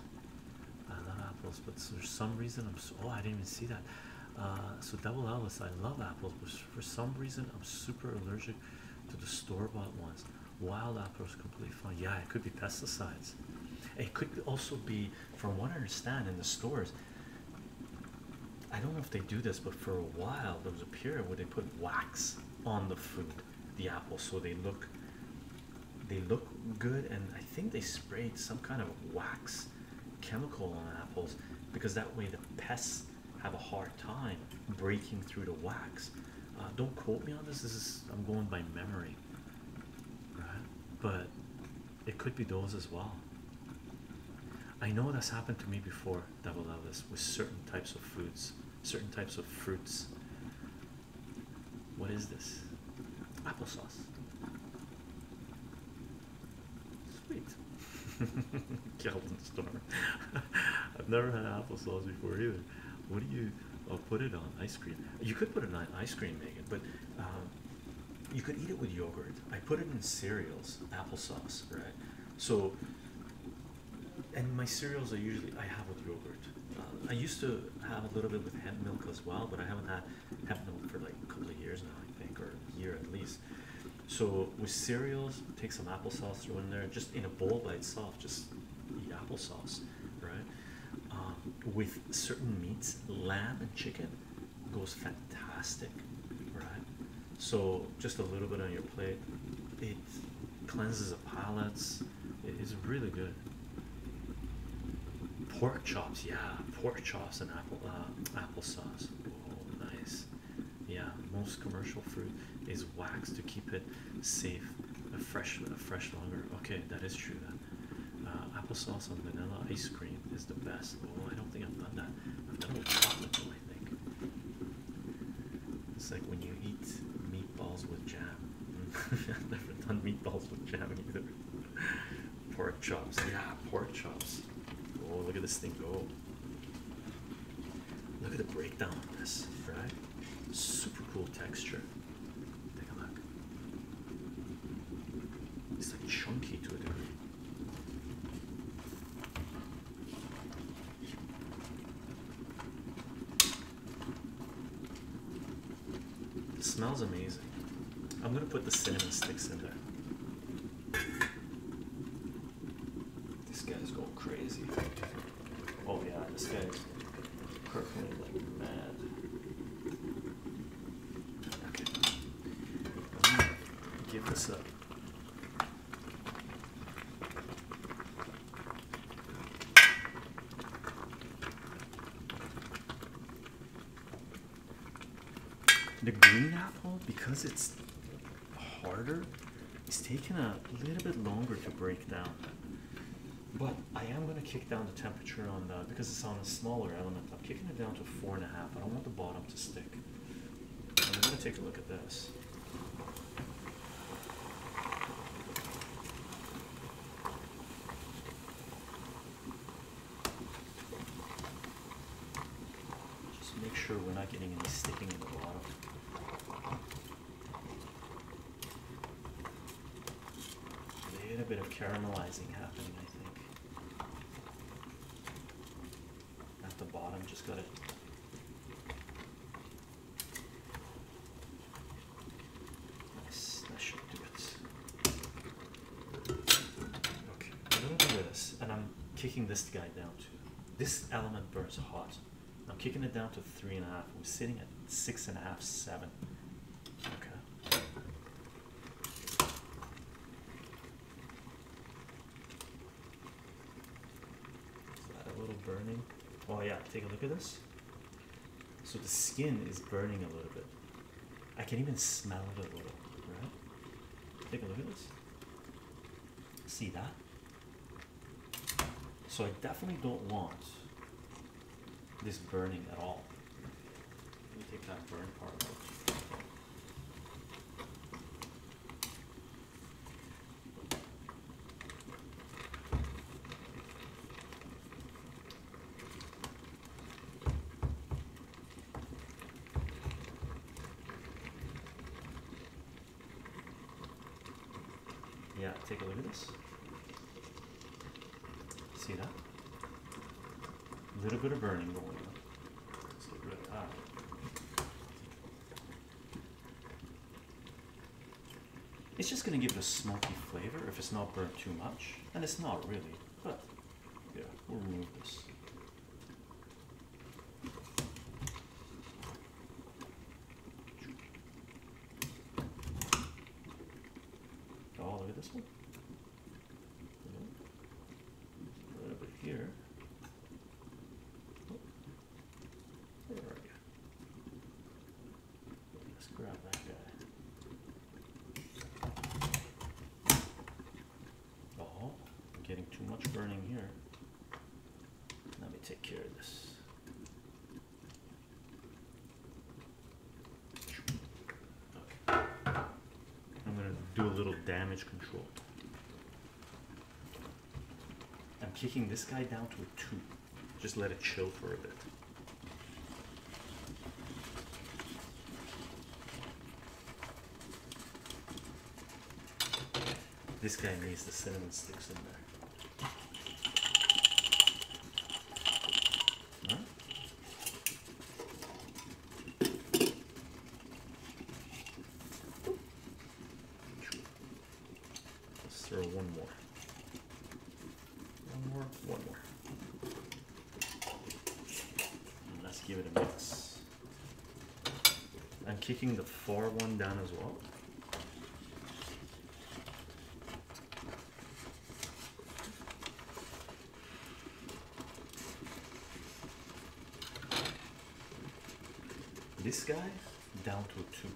I love apples, but for some reason I'm so. Oh, I didn't even see that. Uh, so double Alice, I love apples, but for some reason I'm super allergic to the store-bought ones. Wild apples completely fine. Yeah, it could be pesticides. It could also be, from what I understand, in the stores. I don't know if they do this, but for a while there was a period where they put wax on the food, the apple, so they look, they look good, and I think they sprayed some kind of wax chemical on apples because that way the pests have a hard time breaking through the wax. Uh, don't quote me on this. This is I'm going by memory, But it could be those as well. I know that's happened to me before. Double Elvis with certain types of foods, certain types of fruits. What is this? Applesauce. Sweet. Kelvin Storm. I've never had applesauce before either. What do you oh, put it on? Ice cream. You could put it on ice cream, Megan, but um, you could eat it with yogurt. I put it in cereals, applesauce, right? So, and my cereals are usually I have with yogurt. Um, I used to have a little bit with hemp milk as well, but I haven't had hemp milk for like a couple of years now, I think, or a year at least. So with cereals, take some applesauce, throw in there, just in a bowl by itself, just eat applesauce, right? Um, with certain meats, lamb and chicken goes fantastic, right? So just a little bit on your plate, it cleanses the palate. It is really good. Pork chops, yeah, pork chops and apple uh, applesauce. Nice. Yeah, most commercial fruit is waxed to keep it safe. A fresh, a fresh longer. Okay, that is true. Then. Uh, applesauce on vanilla ice cream is the best. Oh, I don't think I've done that. I've done with chocolate I think it's like when you eat meatballs with jam. I've never done meatballs with jam either. Pork chops. Yeah, pork chops. Oh, look at this thing go. Look at the breakdown of this, right? Super cool texture. Take a look. It's like chunky to a degree. smells amazing. I'm gonna put the cinnamon sticks in there. This guy's going crazy. Oh yeah, this guy's perfectly like mad. Okay. give this up. The green apple, because it's harder, is taking a little bit longer to break down. But I am going to kick down the temperature on the because it's on a smaller element. I'm kicking it down to four and a half. I don't want the bottom to stick. I'm going to take a look at this. Just make sure we're not getting any sticking in the bottom. A little bit of caramelizing happening, I think. At the bottom, just gotta Nice, that should do it. Okay, I'm doing this, and I'm kicking this guy down to this element burns hot. I'm kicking it down to three and a half. I'm sitting at six and a half, seven. Okay. Is that a little burning? Oh yeah, take a look at this. So the skin is burning a little bit. I can even smell it a little, right? Take a look at this. See that? So I definitely don't want this burning at all. Let me take that burn part out. Yeah, take a look at this. See that? A little bit of burning going on. It's just going to give it a smoky flavor if it's not burnt too much. And it's not really, but yeah, we'll remove this. Oh, look at this one. Right over here. Oh. Where are Let's grab that guy. Oh, I'm getting too much burning here. Let me take care of this. I'm gonna do a little damage control. I'm kicking this guy down to a two. Just let it chill for a bit. This guy needs the cinnamon sticks in there. Let's throw one more. One more, one more. And let's give it a mix. I'm kicking the 4-1 down as well. This guy down to a 2.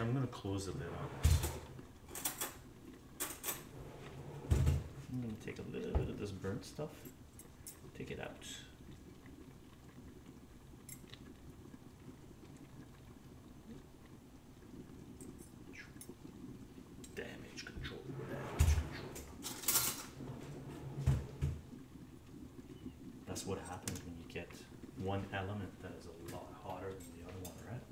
I'm going to close the lid on I'm going to take a little bit of this burnt stuff, take it out. Damage control. That's what happens when you get one element that is a lot hotter than the other one, right?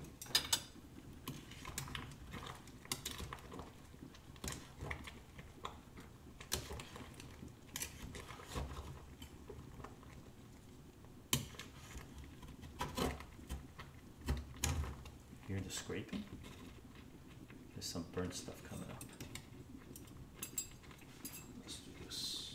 Hear the scraping? There's some burnt stuff coming up. Let's do this.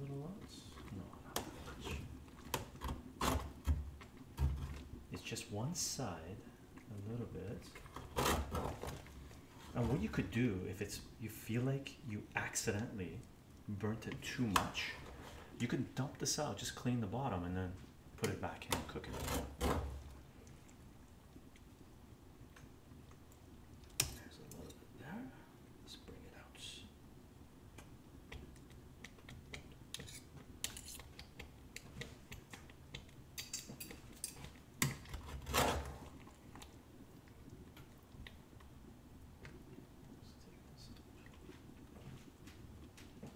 Little lots? No, not much. It's just one side, a little bit. And what you could do if it's you feel like you accidentally burnt it too much you can dump this out, just clean the bottom, and then put it back in and cook it. There's a little bit there. Let's bring it out.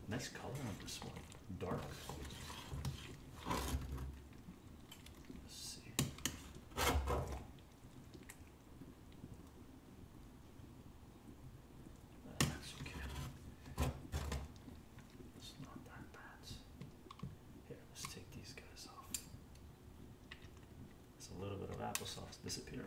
Nice color on this one. Dark. Let's see. That's okay. It's not that bad. Here, let's take these guys off. There's a little bit of applesauce disappearing.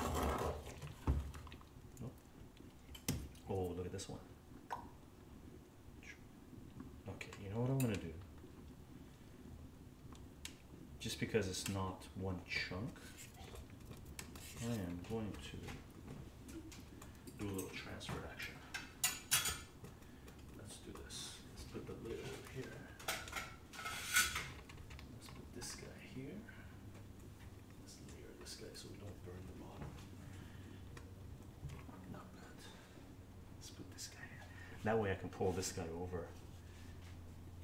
Oh, oh, look at this one. Okay, you know what I'm gonna do? Just because it's not one chunk, I am going to do a little transfer action. Let's do this. Let's put the lid over here. Let's put this guy here. Let's layer this guy so we don't burn the bottom. Not bad. Let's put this guy That way I can pull this guy over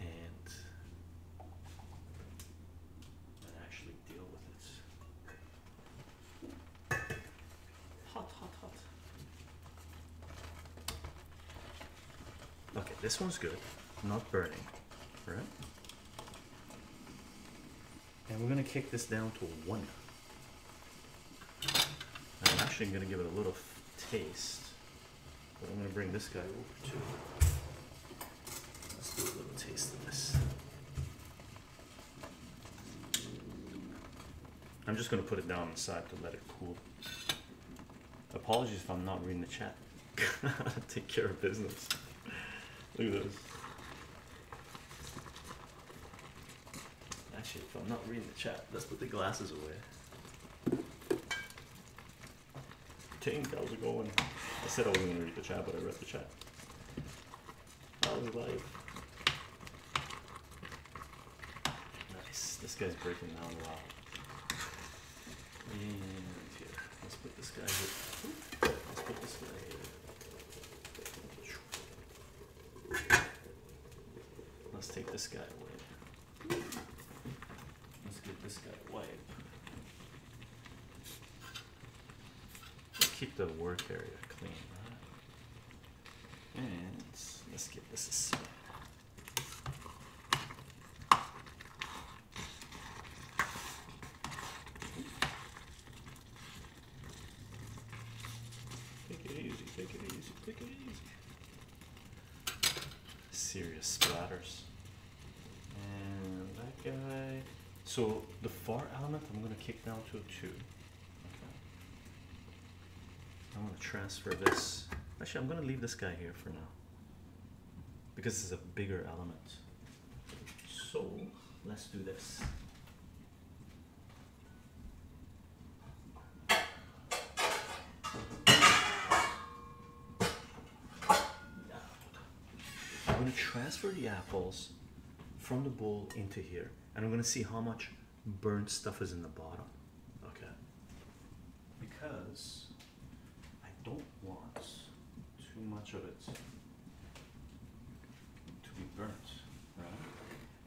and actually deal with it. Hot, hot, hot. Okay, this one's good. Not burning. And we're going to kick this down to a 1. I'm actually going to give it a little taste. But I'm going to bring this guy over too. Let's do a little taste of this. I'm just going to put it down inside to let it cool. Apologies if I'm not reading the chat. Take care of business. Look at this. Actually, if I'm not reading the chat, let's put the glasses away. Ten hours ago, and I said I wasn't gonna read the chat, but I read the chat. I was like, nice. This guy's breaking down a lot let's put this guy here. Let's put this guy Let's take this guy away. Let's get this guy away. Keep the work area clean, And let's get this aside. Take it easy, take it easy, take it easy. Serious splatters. And that guy. So the far element I'm going to kick down to a 2. I'm going to transfer this. Actually, I'm going to leave this guy here for now because this is a bigger element. So let's do this. I'm going to transfer the apples from the bowl into here and I'm going to see how much burnt stuff is in the bottom. Okay. Because I don't want too much of it to be burnt, right?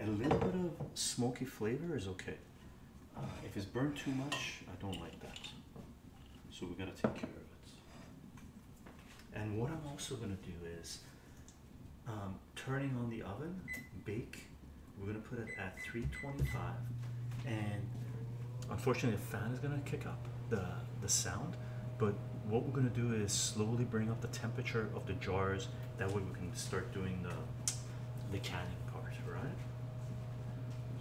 A little bit of smoky flavor is okay. Uh, if it's burnt too much, I don't like that. So we are going to take care of it. And what I'm also gonna do is, um, turning on the oven, bake. We're gonna put it at 3 Twenty-five, and unfortunately, the fan is going to kick up the, the sound. But what we're going to do is slowly bring up the temperature of the jars. That way, we can start doing the, the canning part, right?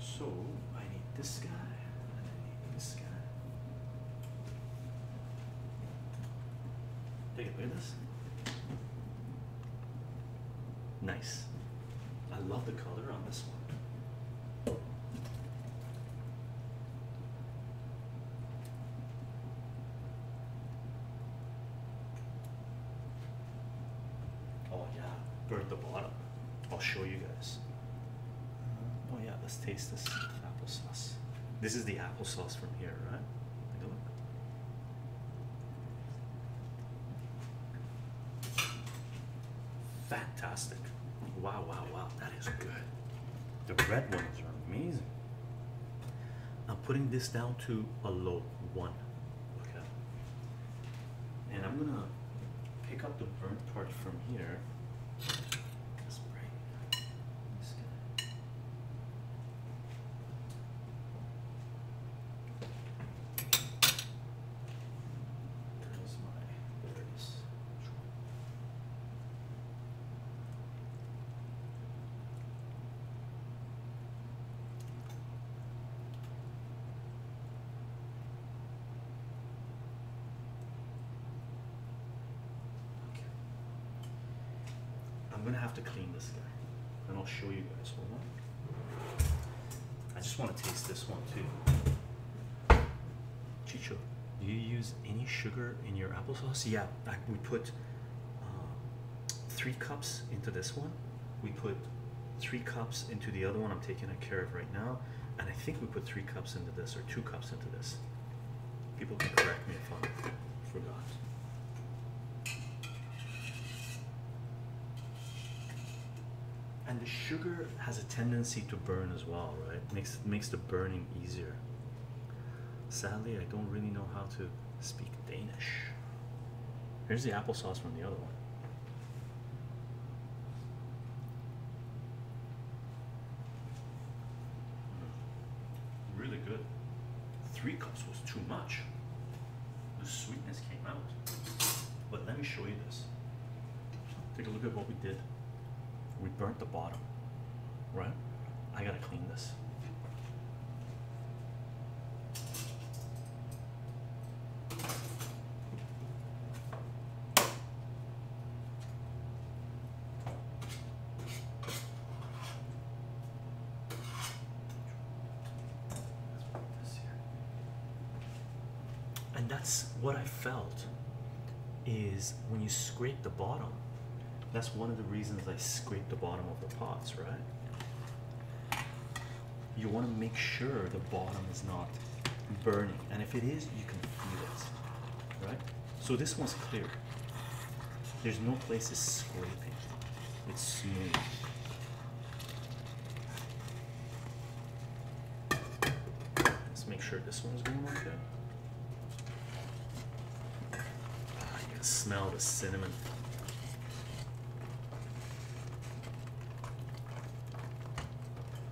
So, I need this guy, I need this guy. Take a look at this. Nice. I love the color on this one. Oh yeah, burnt the bottom. I'll show you guys. Uh-huh. Oh yeah, let's taste this applesauce. This is the applesauce from here, right? Take a look. Fantastic. Wow, wow, wow. That is good. The red ones are amazing. I'm putting this down to a low one. Okay. And I'm gonna pick up the burnt part from here. Just I'm gonna have to clean this guy and I'll show you guys. Hold on. I just want to taste this one too. Chicho, do you use any sugar in your applesauce? Yeah, we put uh, three cups into this one. We put three cups into the other one I'm taking a care of right now. And I think we put three cups into this or two cups into this. People can correct me if I forgot and the sugar has a tendency to burn as well right makes makes the burning easier sadly i don't really know how to speak danish here's the applesauce from the other one mm, really good three cups was too much the sweetness came out but let me show you this Take a look at what we did. We burnt the bottom, right? I gotta clean this and that's what I felt is when you scrape the bottom. That's one of the reasons I scrape the bottom of the pots, right? You want to make sure the bottom is not burning, and if it is, you can feel it, right? So this one's clear. There's no place it's scraping. It's smooth. Let's make sure this one's going okay. Ah, you can smell the cinnamon.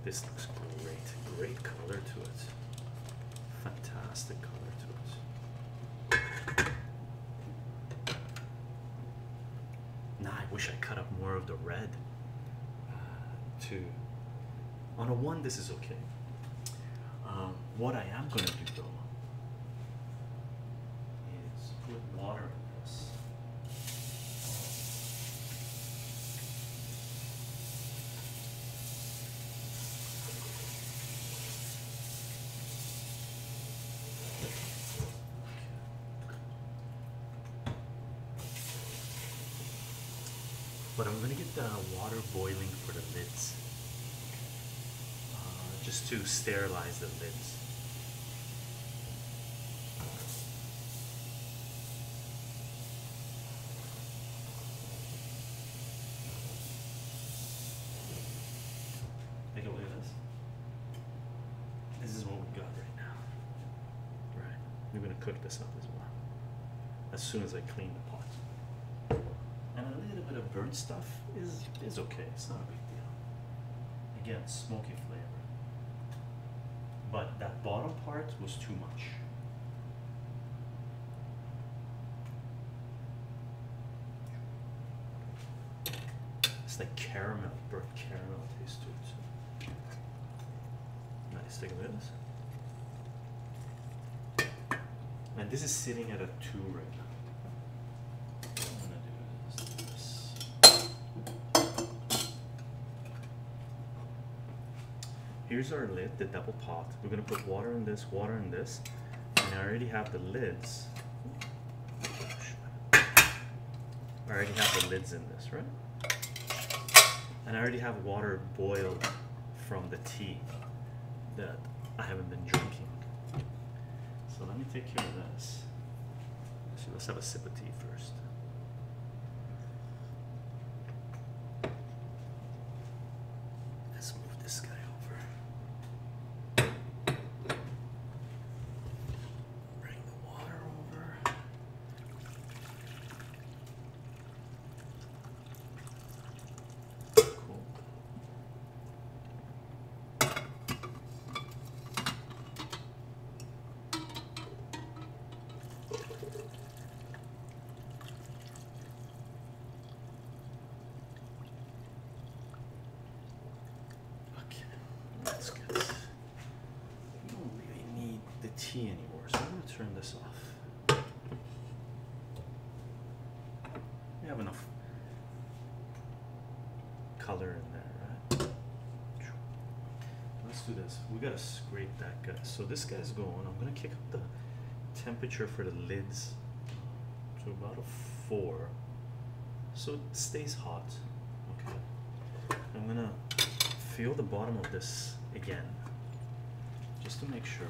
This looks great. Great color to it. Fantastic color to it. Now I wish I cut up more of the red. Uh, On a one, this is okay. Um, what I am going to do though is put water in this. But I'm gonna get the water boiling for the lids. Uh, just to sterilize the lids. Take a look at this. This is what we got right now. Right. I'm going to cook this up as well as soon as I clean the pot. And a little bit of burnt stuff is, is okay. It's not a big deal. Again, smoky flavor. But that bottom part was too much. It's like caramel, burnt caramel taste to it. Nice, take a look at this. And this is sitting at a 2 right now. here's our lid, the double pot. We're gonna put water in this, water in this, and I already have the lids. I already have the lids in this, right? And I already have water boiled from the tea that I haven't been drinking. So let me take care of this. Actually, let's have a sip of tea first. Let's move this guy over. Bring the water over. Cool. Okay, that's good. We don't really need the tea anymore, so I'm going to turn this off. We have enough color in there, right? Let's do this. We gotta scrape that guy. So this guy's gone. I'm gonna kick up the temperature for the lids to about a four, so it stays hot. Okay. I'm gonna feel the bottom of this again just to make sure.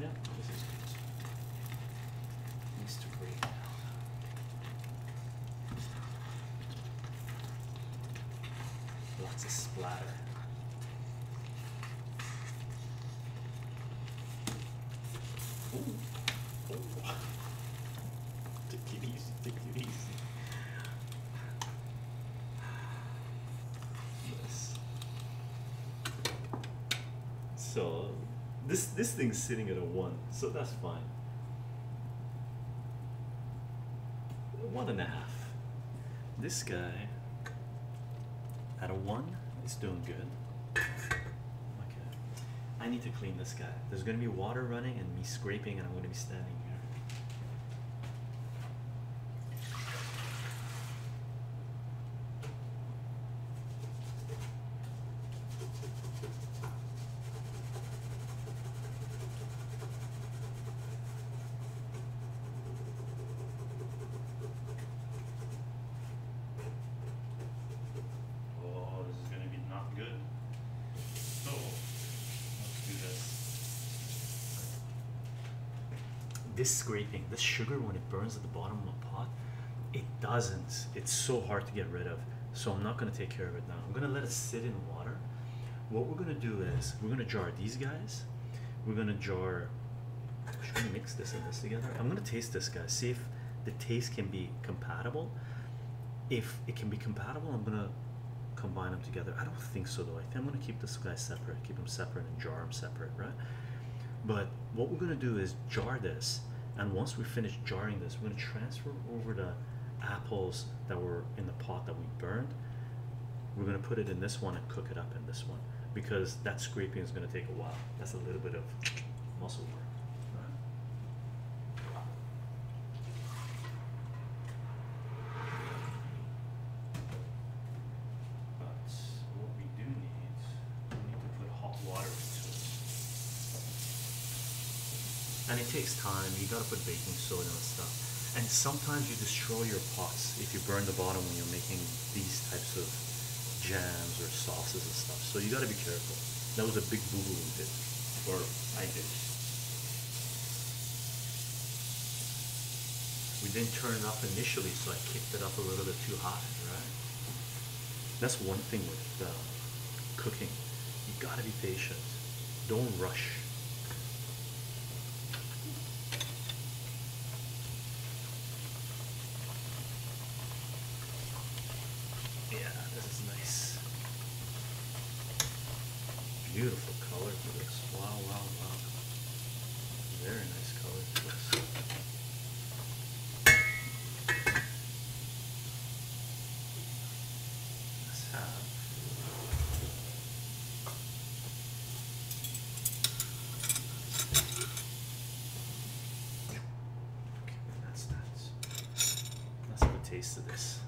Yeah, this is good. Needs to breathe out. Lots of splatter. Take it easy, take it easy. So, this, this thing's sitting at a 1, so that's fine. One and a half. This guy at a 1 is doing good. Okay. I need to clean this guy. There's going to be water running and me scraping, and I'm going to be standing here. Oh, this is going to be not good. So, let's do this. This scraping, this sugar when it burns at the bottom of a pot, it doesn't. It's so hard to get rid of. So I'm not gonna take care of it now. I'm gonna let it sit in water. What we're gonna do is we're gonna jar these guys. We're gonna jar. Should we mix this and this together? I'm gonna taste this guy. See if the taste can be compatible. If it can be compatible, I'm gonna combine them together. I don't think so though. I think I'm gonna keep this guy separate, keep them separate and jar them separate, right? But what we're gonna do is jar this, and once we finish jarring this, we're gonna transfer over the apples that were in the pot that we burned. We're gonna put it in this one and cook it up in this one because that scraping is gonna take a while. That's a little bit of muscle work. Right? But what we do need, we need to put hot water into it. And it takes time, you gotta put baking soda and stuff. And sometimes you destroy your pots if you burn the bottom when you're making these types of jams or sauces and stuff. So you gotta be careful. That was a big boo-boo we did, or I did. We didn't turn it up initially, so I kicked it up a little bit too high, right? That's one thing with uh, cooking. You gotta be patient. Don't rush. Yeah, this is nice. Beautiful color for this. Wow, wow, wow. Very nice color for this. Let's have Okay, that's nice. Let's have a taste of this.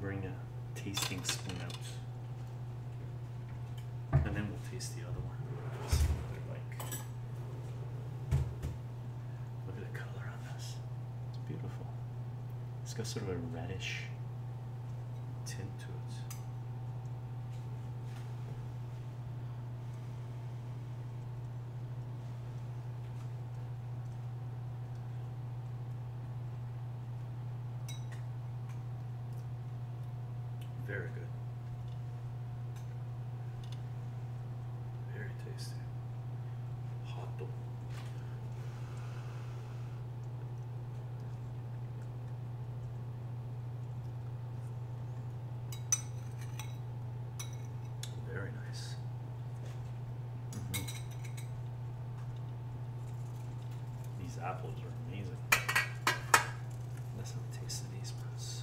Bring a tasting spoon out, and then we'll taste the other one. Look at the color it's beautiful. It's got sort of a reddish tint to it. Very good. Very tasty. Hot dog. Very nice. Mm-hmm. These apples are amazing. Let's taste these ones.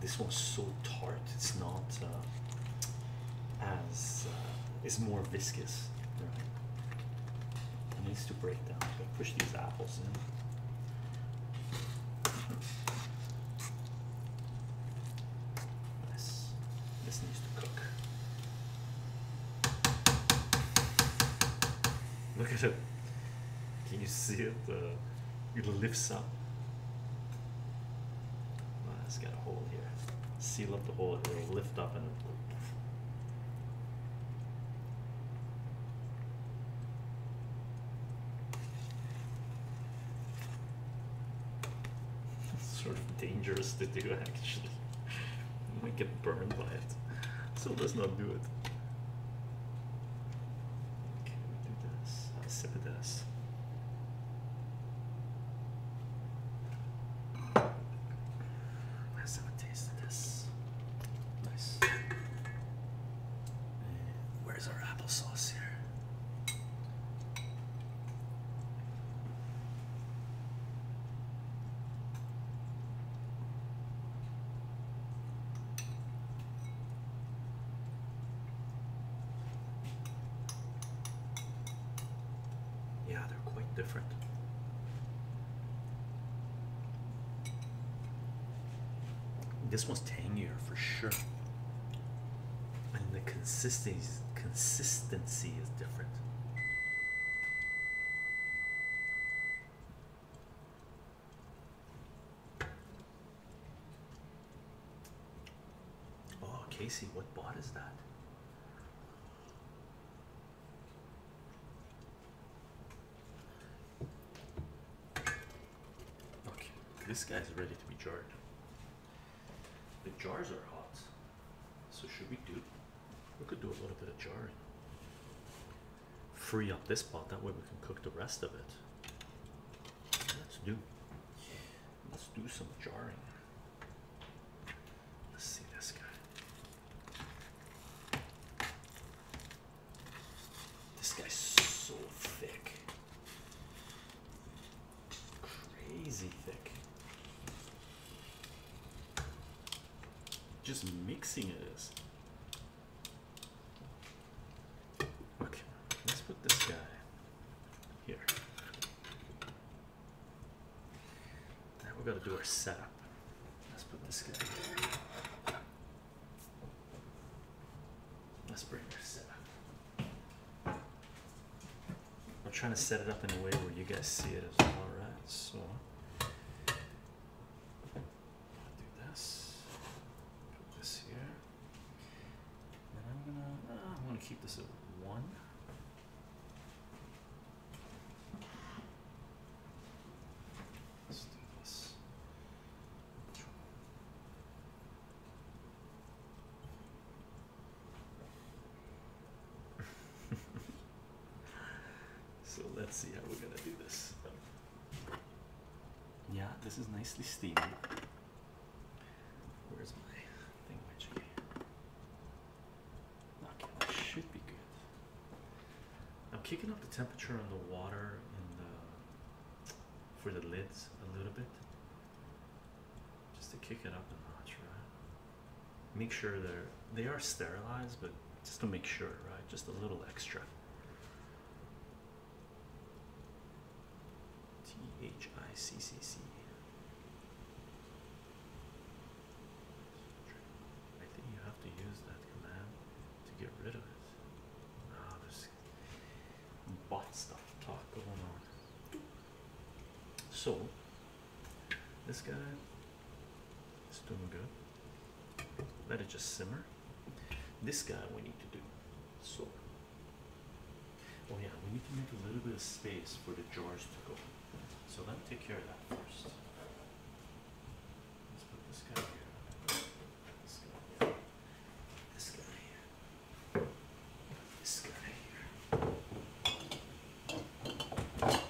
This one's so tart. It's not uh, as uh, it's more viscous. It needs to break down. So push these apples in. This, this needs to cook. Look at it. Can you see it? it lifts up. it's got a hole here. Seal up the hole, it'll lift up and it's sort of dangerous to do actually. I might get burned by it. So let's not do it. Okay, we do this. I'll sip it this. Let's have a taste of this. Nice. Where's our applesauce here? Yeah, they're quite different. This one's tangier for sure. And the consistency consistency is different. Oh, Casey, what bot is that? Okay, this guy's ready to be jarred. The jars are hot. So should we do? We could do a little bit of jarring. Free up this pot, that way we can cook the rest of it. Let's do let's do some jarring. Let's see this guy. This guy's so thick. Crazy thick. Just mixing it is. Okay, let's put this guy here. Now we are going to do our setup. Let's put this guy here. Let's bring our setup. I'm trying to set it up in a way where you guys see it as well, right? So do this. this here. And I'm gonna uh, I'm gonna keep this at one. Let's do this. So let's see how we're gonna do this. Yeah, this is nicely steaming. Where's my thing? Which okay, that should be good. I'm kicking up the temperature on the water in the for the lids a little bit, just to kick it up a notch, right? make sure they're they are sterilized, but just to make sure, right? Just a little extra. T H I C C C. I think you have to use that command to get rid of it. Ah, there's bot stuff talk going on. So this guy is doing good. Let it just simmer. This guy we need to do. So, oh yeah, we need to make a little bit of space for the jars to go. So let me take care of that first. Let's put this guy here. This guy This guy This guy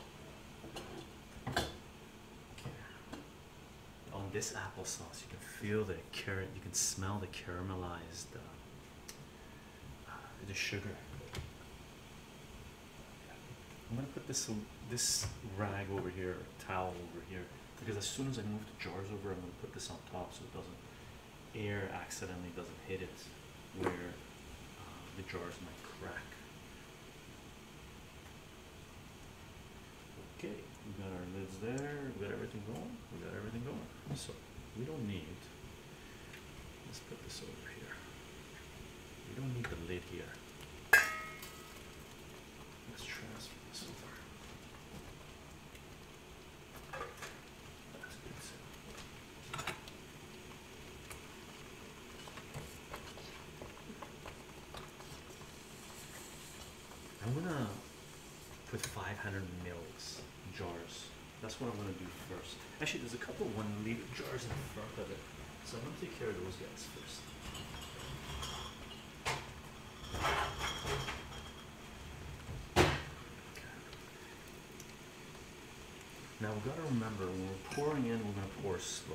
on this applesauce, you can feel the carrot, you can smell the caramelized, uh, uh, the sugar. I'm gonna put this this rag over here, towel over here, because as soon as I move the jars over, I'm gonna put this on top so it doesn't air accidentally doesn't hit it where uh, the jars might crack. Okay, we got our lids there, we got everything going, we got everything going. So we don't need, let's put this over here. We don't need the lid here. Let's transfer this over. I'm gonna put 500 mils jars. That's what I'm gonna do first. Actually, there's a couple one liter jars in front of it, so I'm gonna take care of those guys first. Now we've got to remember when we're pouring in, we're going to pour slow.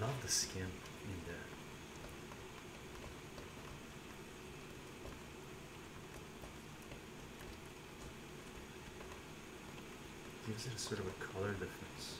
love the skin in there. Gives it a sort of a color difference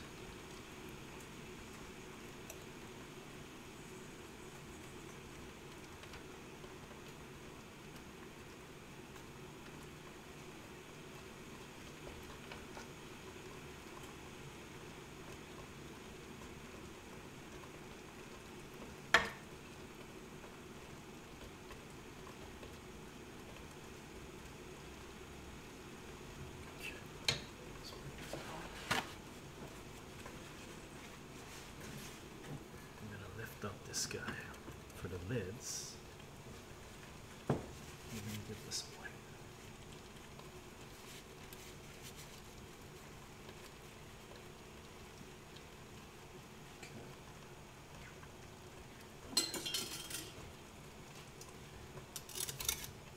this guy for the lids. I'm gonna give this away.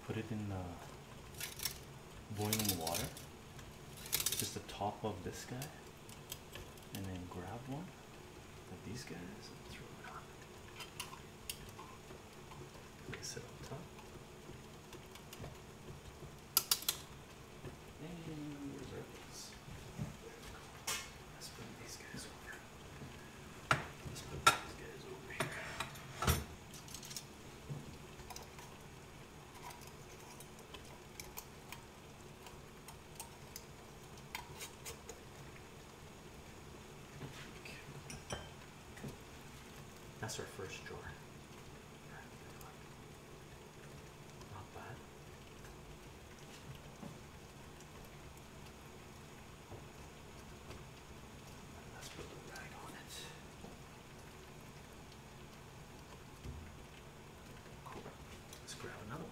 Put it in the uh, boiling water, just the top of this guy, and then grab one of these guys and throw it on place it on top. And where's our base? Let's put these guys over. Let's put these guys over here. That's our first drawer. Let's put the rag on it. Cool. Let's grab another one.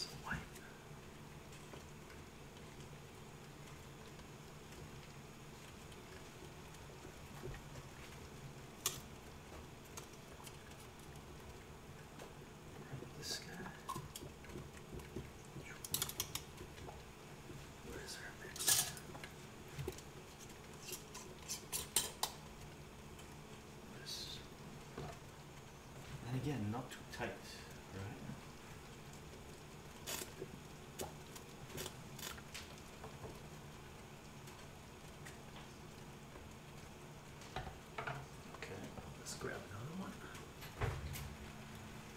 Swipe. This guy. And again, not too tight, right? Okay, let's grab another one.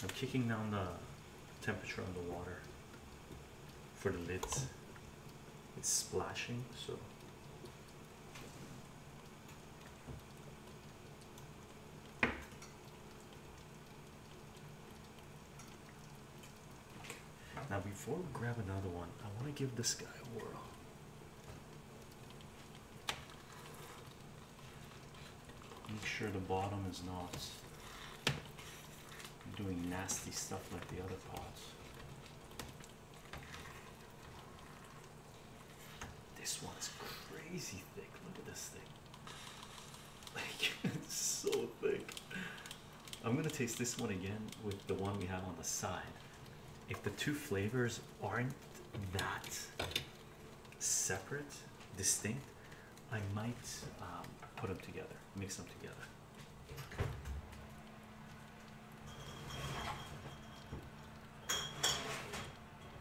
I'm kicking down the temperature on the water for the lids. It's splashing, so now, before we grab another one, I want to give this guy a whirl. Make sure the bottom is not doing nasty stuff like the other pots. This one's crazy thick. Look at this thing. Like it's so thick. I'm gonna taste this one again with the one we have on the side. If the two flavors aren't that separate, distinct, I might um, put them together, mix them together.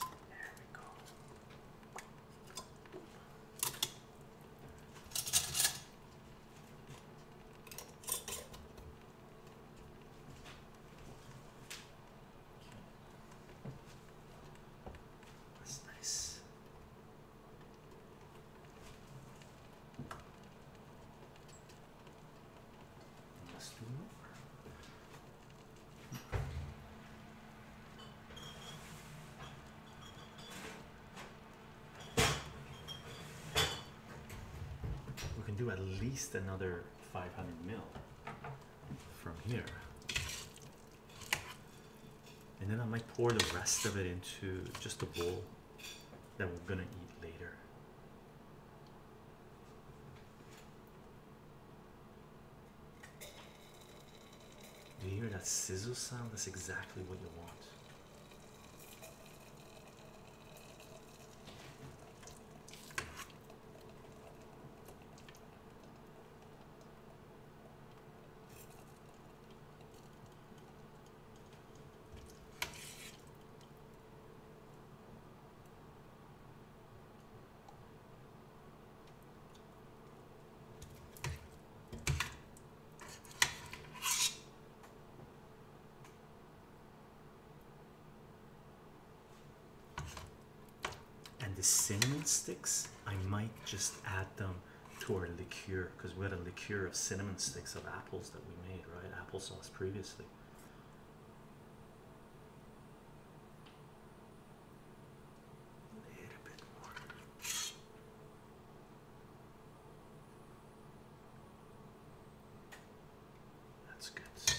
There we go. That's nice. We can do at least another 500 mil from here. And then I might pour the rest of it into just a bowl that we're gonna eat later. Do you hear that sizzle sound? That's exactly what you want. And the cinnamon sticks, I might just add them to our liqueur because we had a liqueur of cinnamon sticks of apples that we made, right? Applesauce previously honestly. A little bit more. That's good. Okay.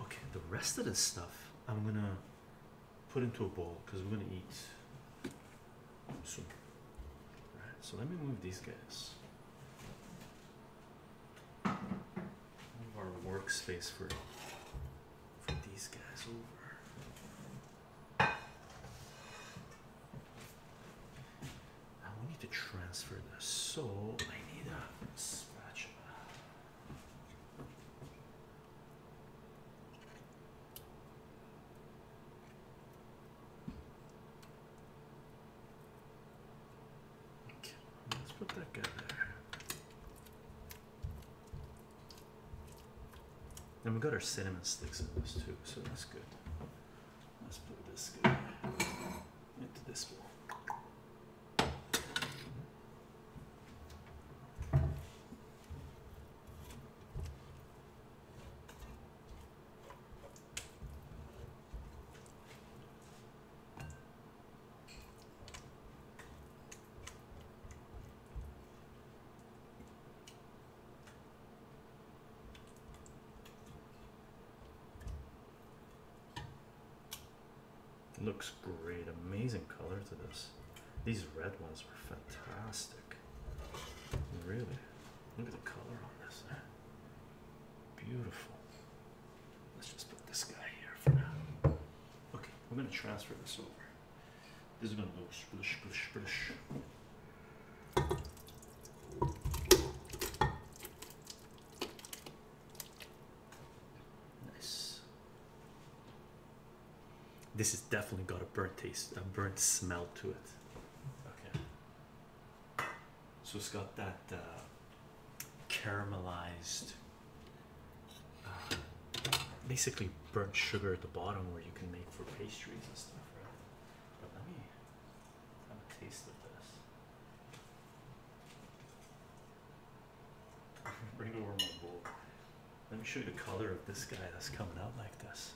Okay, the rest of this stuff I'm gonna put into a bowl because we're gonna eat All right, so let me move these guys our workspace for for these guys over. Now we need to transfer this, so I need a spatula let's put that guy there. And we got our cinnamon sticks in this too, so that's good. Let's put this guy into this bowl looks great amazing color to this these red ones were fantastic really look at the color on this beautiful Let's just put this guy here for now. Okay, we're gonna transfer this over. This is gonna go splish, splish, splish. Nice. This has definitely got a burnt taste, a burnt smell to it. Okay. So it's got that uh, caramelized, uh, basically burnt sugar at the bottom where you can make for pastries and stuff, right? But let me have a taste of this. bring over my bowl. Let me show you the color of this guy that's coming out like this.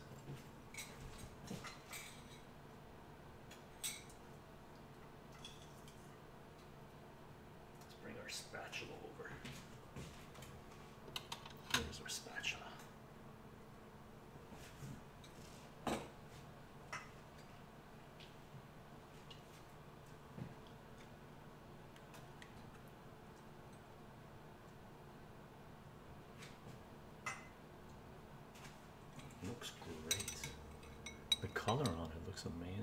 Let's bring our spatula over. Here's our spatula. Looks great. The color on it looks amazing.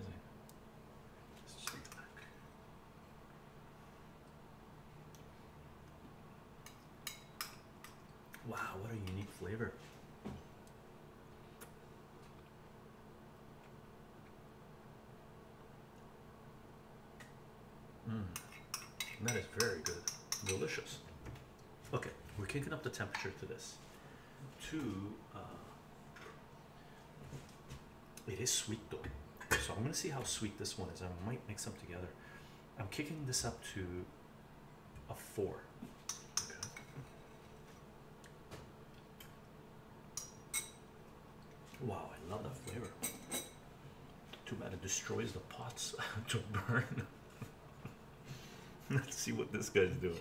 Wow, what a unique flavor. Mm, that is very good. Delicious. Okay, we're kicking up the temperature to this. To uh, it is sweet though. So I'm gonna see how sweet this one is. I might mix them together. I'm kicking this up to a four. Wow, I love that flavor. Too bad it destroys the pots to burn. Let's see what this guy's doing.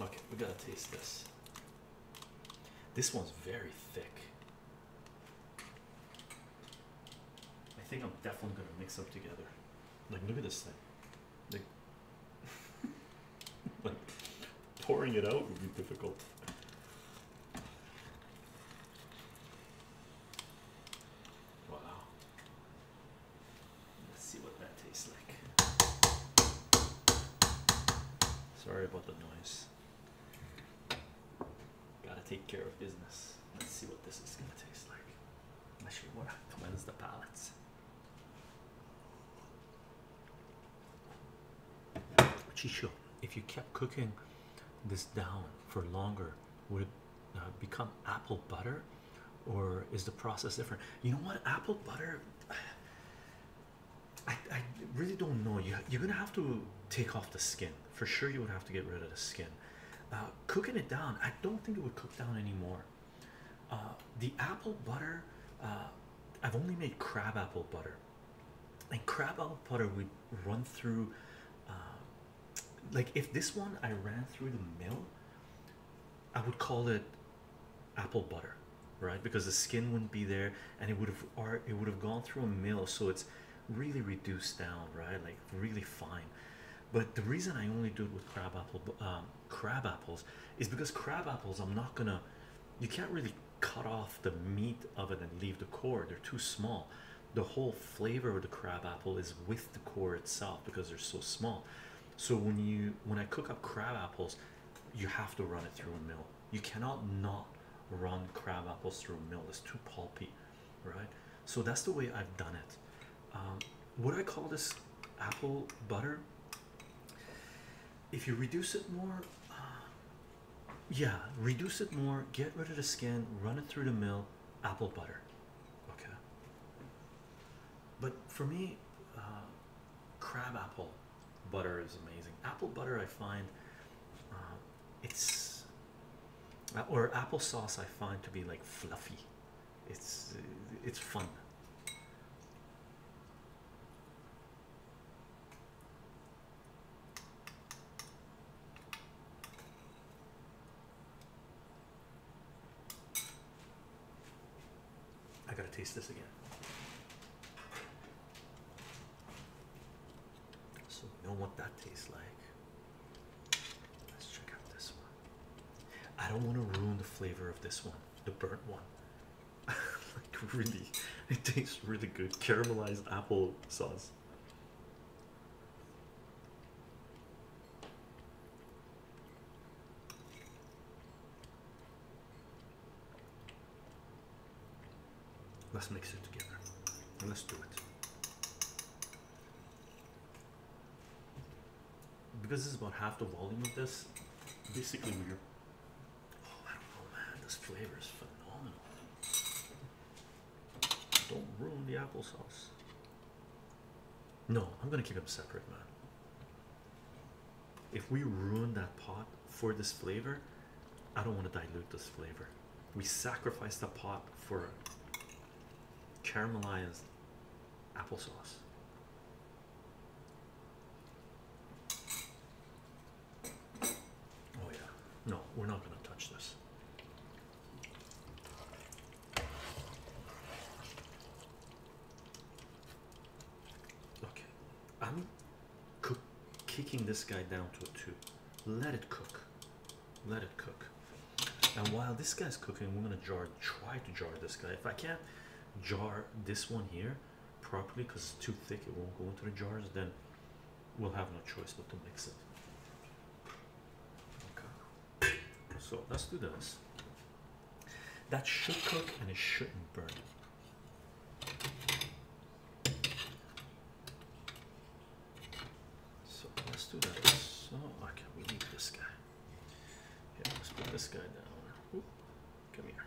Okay, we gotta taste this. This one's very thick. I think I'm definitely gonna mix up together. Like, look at this thing. Like, pouring it out would be difficult. Wow. Let's see what that tastes like. Sorry about the noise. Gotta take care of business. Let's see what this is gonna taste like. Actually, what cleanse the palates. Chicho, if you kept cooking this down for longer, would it uh, become apple butter or is the process different? You know what? Apple butter. I, I really don't know. You you're gonna have to take off the skin for sure. You would have to get rid of the skin. Uh, cooking it down, I don't think it would cook down anymore. Uh, the apple butter, uh, I've only made crab apple butter, and crab apple butter we run through like if this one I ran through the mill, I would call it apple butter, right? Because the skin wouldn't be there, and it would have it would have gone through a mill, so it's really reduced down, right? Like really fine. But the reason I only do it with crab apple, um, crab apples, is because crab apples I'm not gonna. You can't really cut off the meat of it and leave the core. They're too small. The whole flavor of the crab apple is with the core itself because they're so small. So when you when I cook up crab apples, you have to run it through a mill. You cannot not run crab apples through a mill. It's too pulpy, right? So that's the way I've done it. Um, would I call this apple butter? If you reduce it more, uh, yeah, reduce it more. Get rid of the skin. Run it through the mill. Apple butter. Okay. But for me, uh, crab apple butter is amazing. Apple butter, I find uh, it's uh, or applesauce, I find to be like fluffy. It's it's fun. I gotta taste this again. So we know what that tastes like. Let's check out this one. I don't want to ruin the flavor of this one, the burnt one. like really, it tastes really good. Caramelized apple sauce. Let's mix it together. Let's do it. Because this is about half the volume of this, basically we're. Oh, I don't know, man. This flavor is phenomenal. Don't ruin the applesauce. No, I'm gonna keep them separate, man. If we ruin that pot for this flavor, I don't want to dilute this flavor. We sacrifice the pot for caramelized applesauce. Oh, yeah. No, we're not going to touch this. Okay, I'm cook kicking this guy down to a two. Let it cook. Let it cook. And while this guy's cooking, we're gonna try to jar this guy. If I can't jar this one here properly because it's too thick, it won't go into the jars, then we'll have no choice but to mix it. Okay. So let's do this. That should cook and it shouldn't burn. So let's do that. So okay, we need this guy. Yeah, let's put this guy down. come here.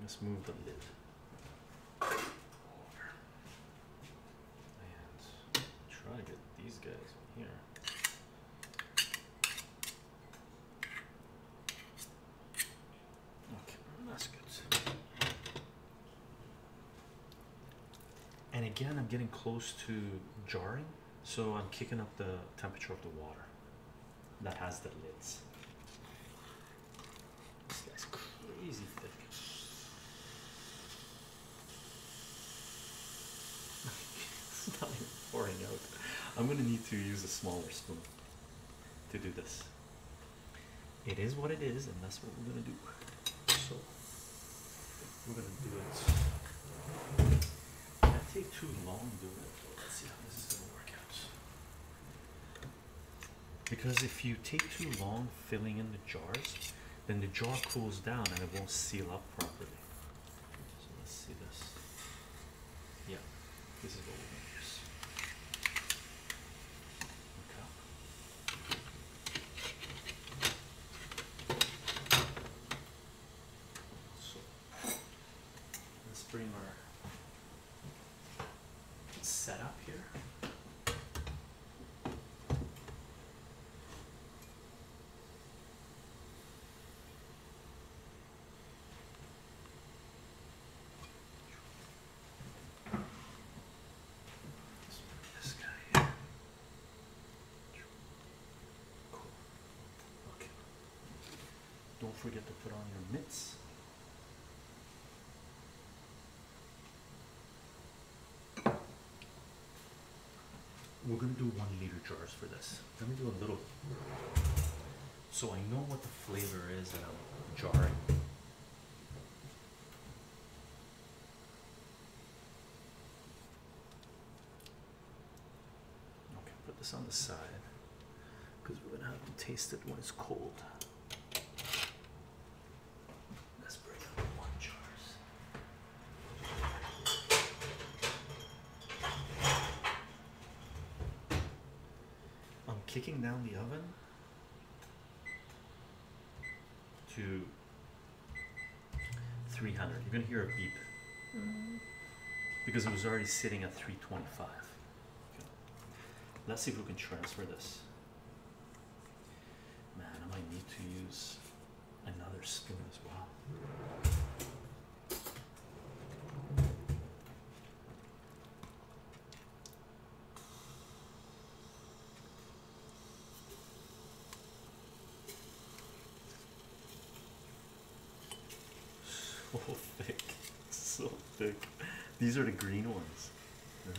Let's move the lid. And try to get these guys in here. Okay, that's good. And again, I'm getting close to jarring, so I'm kicking up the temperature of the water that has the lids. This guy's crazy thick it's not even pouring out. I'm gonna need to use a smaller spoon to do this. It is what it is, and that's what we're gonna do. So we're gonna do it. That take too long to do it. Let's see how this is gonna work out. Because if you take too long filling in the jars, then the jar cools down and it won't seal up properly. So let's see this. Yeah, this is what we're going to use. Okay. So let's bring our setup here. Don't forget to put on your mitts. We're going to do one liter jars for this. Let me do a little so I know what the flavor is that I'm jarring. Okay, put this on the side because we're going to have to taste it when it's cold. Let's bring up one jars. I'm kicking down the oven to 300. You're going to hear a beep mm-hmm. because it was already sitting at 325. Let's see if we can transfer this. Man, I might need to use another spoon as well. So thick, so thick. These are the green ones, right?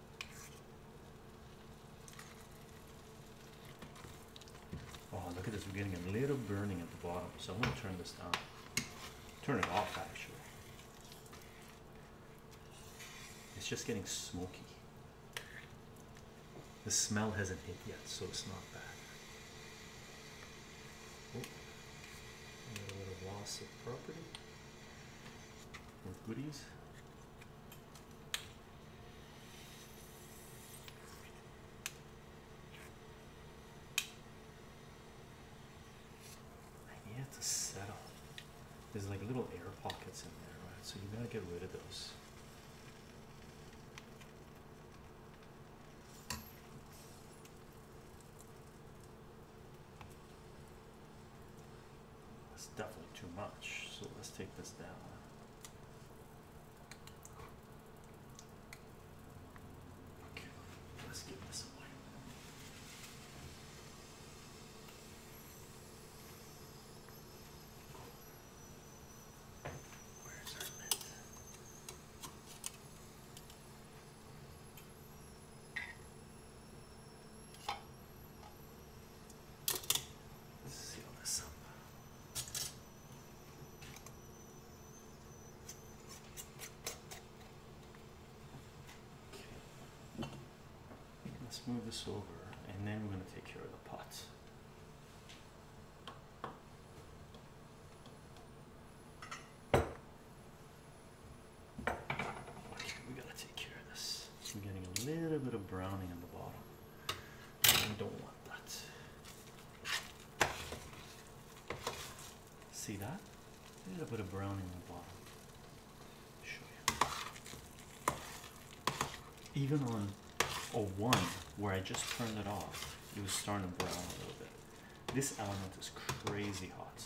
Oh, look at this. We're getting a little burning at the bottom. So I'm going to turn this down. Turn it off, actually. It's just getting smoky. The smell hasn't hit yet, so it's not bad. a little loss of property. I need to settle. There's like little air pockets in there, right? So you gotta get rid of those. That's definitely too much, so let's take this down. Okay, let's get this away. Where's our let's move this over and then we're going to take care of the pot. We gotta take care of this. I'm getting a little bit of browning in the bottom. I don't want that. See that? A little bit of browning in the bottom. even on a one where I just turned it off, it was starting to brown a little bit. This element is crazy hot.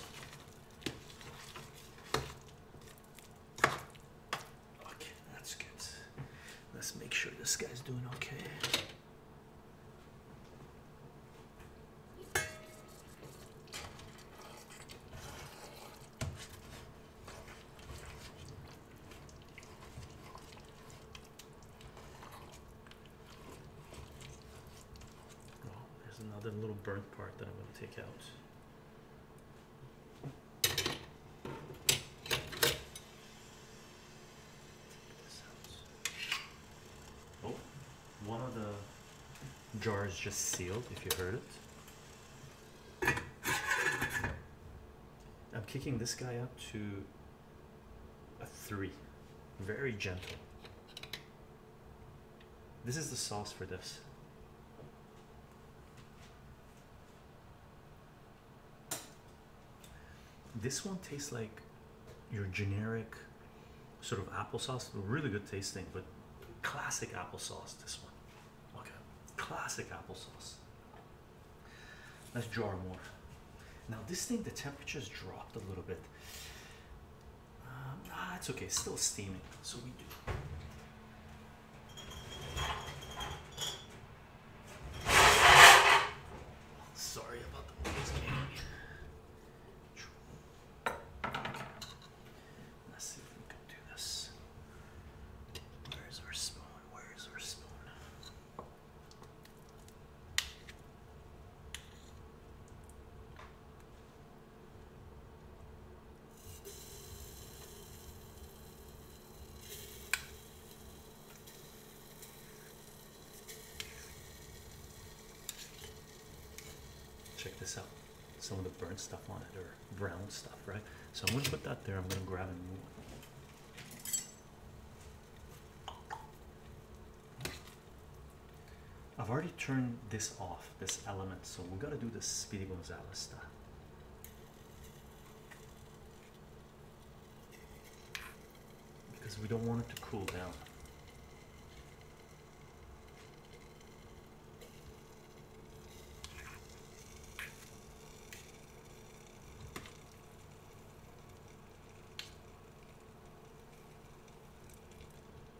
Okay, that's good. Let's make sure this guy's doing okay. Oh, there's another little burnt part that I'm going to take out. Oh, one of the jars just sealed, if you heard it. I'm kicking this guy up to a three. Very gentle. This is the sauce for this. This one tastes like your generic sort of applesauce, really good tasting, but classic applesauce. This one, okay, classic applesauce. Let's draw more. Now, this thing the temperature's dropped a little bit. Um, ah, it's okay. still steaming, so we do. Sorry about the noise, man. Let's see if we can do this. Where is our spoon? Where is our spoon? Check this out. Some of the burnt stuff on it or brown stuff, right? So I'm gonna put that there. I'm gonna grab a new one. I've already turned this off, this element, so we have got to do this Speedy Gonzalez style. Because we don't want it to cool down.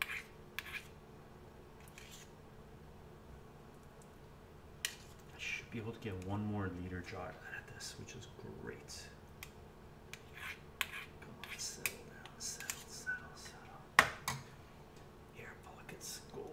I should be able to get one more liter jar out of this, which is great. Air pockets go away.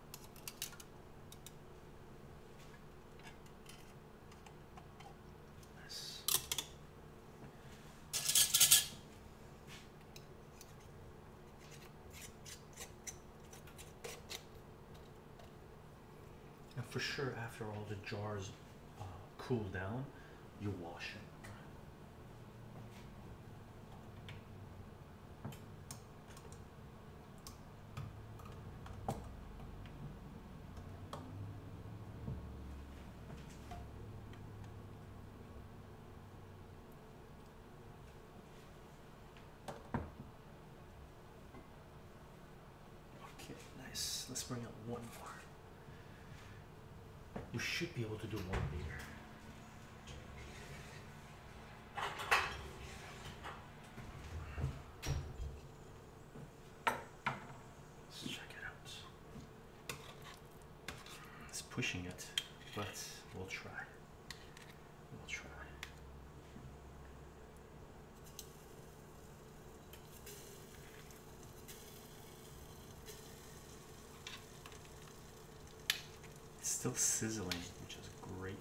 And for sure, after all the jars uh, cool down, you wash them. Okay, nice. Let's bring up one more. We should be able to do one meter. Let's check it out. It's pushing it, but we'll try. We'll try. It's still sizzling, which is great.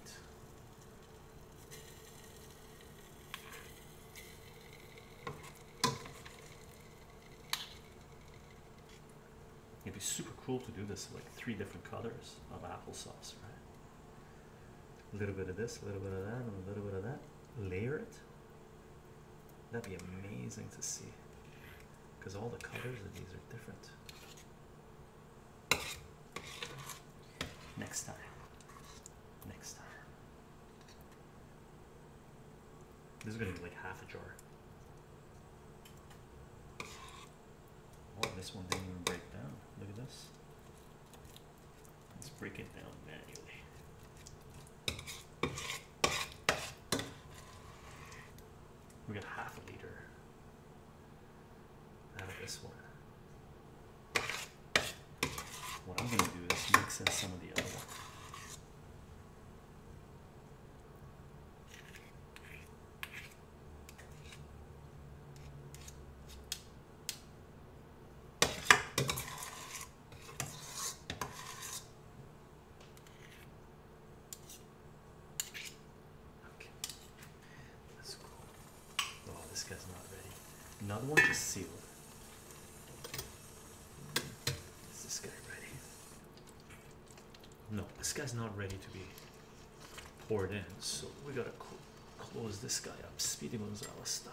It'd be super cool to do this like three different colors of applesauce, right? A little bit of this, a little bit of that, and a little bit of that. Layer it. That'd be amazing to see because all the colors of these are different. Next time. Next time. This is gonna be like half a jar. Oh, this one didn't even break down. Look at this. Let's break it down manually. We got half a liter out of this one. What I'm going to do is mix in some of the other one. Okay. That's cool. Oh, this guy's not ready. Another one is sealed. Is this guy ready? No, this guy's not ready to be poured in, so we gotta close this guy up. Speedy Gonzales style.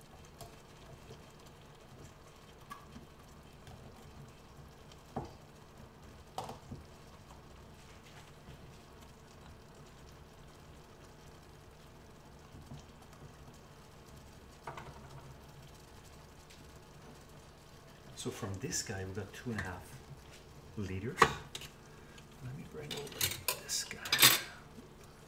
So from this guy, we got two and a half liters. Let me bring over this guy.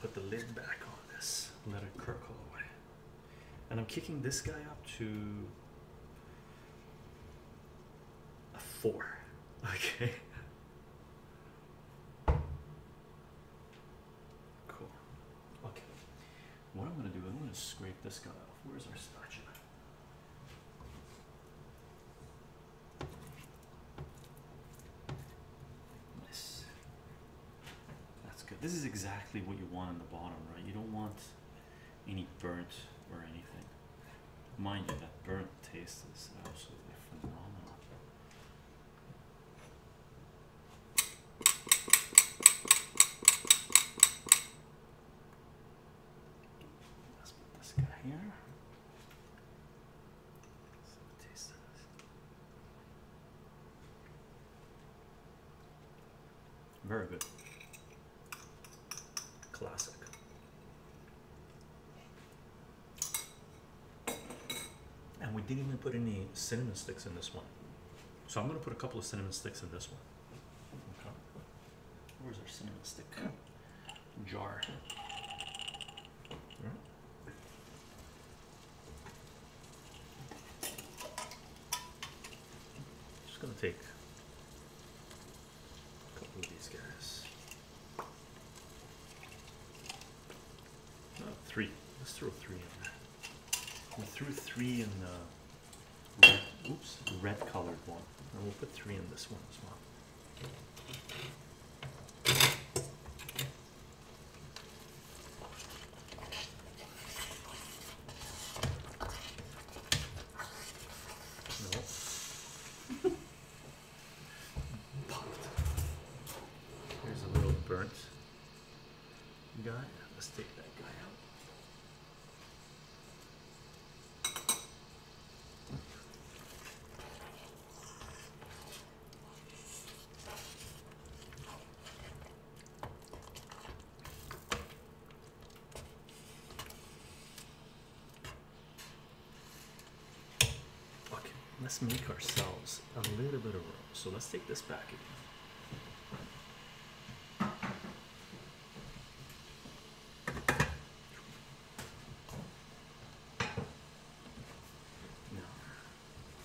put the lid back on this, let it curl away. And I'm kicking this guy up to a four. Okay. Cool. Okay. What I'm gonna do, I'm gonna scrape this guy off. Where's our spatula? Nice. That's good. This is exactly what you want on the bottom, right? You don't want any burnt or anything. Mind you, that burnt taste is absolutely phenomenal. Let's put this guy here. Very good. Classic. And we didn't even put any cinnamon sticks in this one. So I'm going to put a couple of cinnamon sticks in this one. Where's our cinnamon stick jar? Just gonna take a couple of these guys. Uh, three. Let's throw three in there. We threw three in red, oops, red colored one. And we'll put three in this one as well. No. Popped. Here's a little burnt guy. Let's take that guy out. Okay, let's make ourselves a little bit of room. So let's take this back again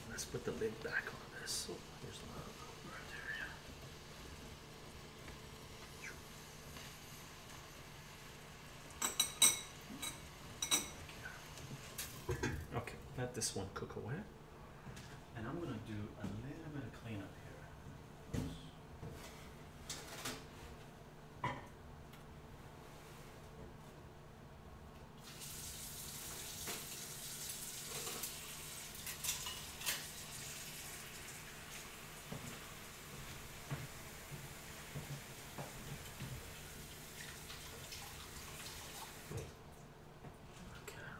let's put the lid back on this. Oh, okay, let this one cook away and I'm going to do a little bit of cleanup here. Okay.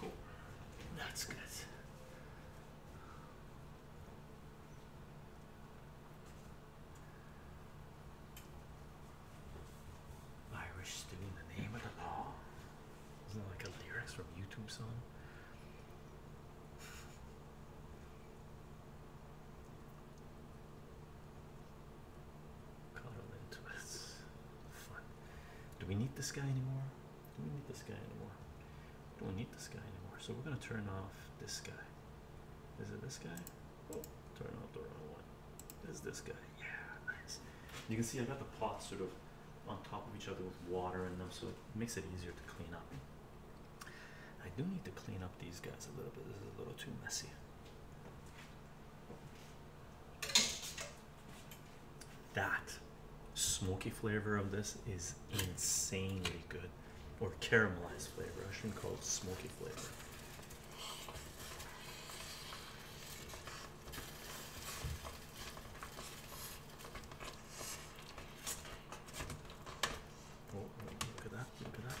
Cool. That's good. Irish stew in the name of the law. Isn't that like a lyrics from YouTube song? Coddle into it. Do we need this guy anymore? Do we need this guy anymore? do we need this guy anymore. So we're gonna turn off this guy. Is it this guy? Oh, turn off the wrong one. Is this guy? Yeah, nice. You can see I got the pots sort of on top of each other with water in them, so it makes it easier to clean up. I do need to clean up these guys a little bit. This is a little too messy. That smoky flavor of this is insanely good, or caramelized flavor. I should call it smoky flavor. Oh, look at that! Look at that.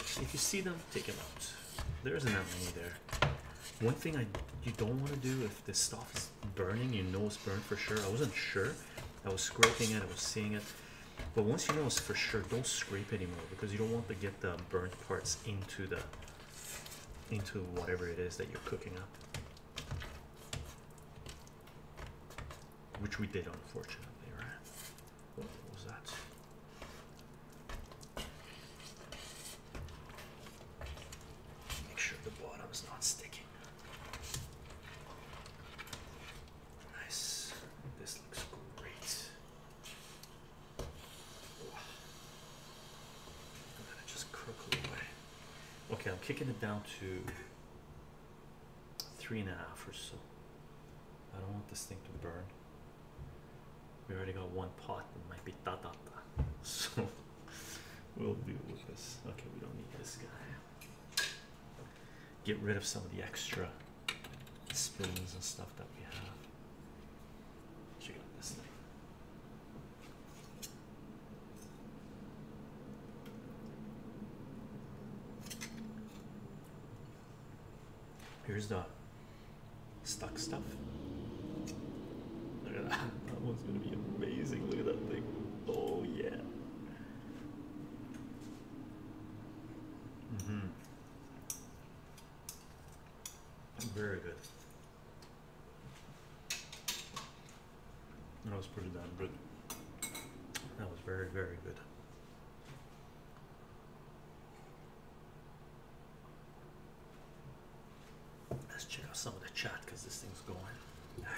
If you see them, take them out. There isn't that many there. One thing I you don't want to do if this stuff is burning, you know it's burned for sure. I wasn't sure. I was scraping it. I was seeing it. But once you know it's for sure, don't scrape anymore because you don't want to get the burnt parts into the into whatever it is that you're cooking up. Which we did unfortunately, right? What was that? Make sure the bottom not sticking. Nice. This looks great. I'm gonna just crook away. Okay, I'm kicking it down to three and a half or so. I don't want this thing to burn. We already got one pot that might be ta ta ta. So we'll deal with this. Okay, we don't need this guy. Get rid of some of the extra spoons and stuff that we have. Check out this thing. Here's the stuck stuff. Look at that. That one's gonna be amazing. Look at that thing. Oh yeah. Mm hmm Very good. That was pretty damn good. That was very, very good. Let's check out some of the chat because this thing's going.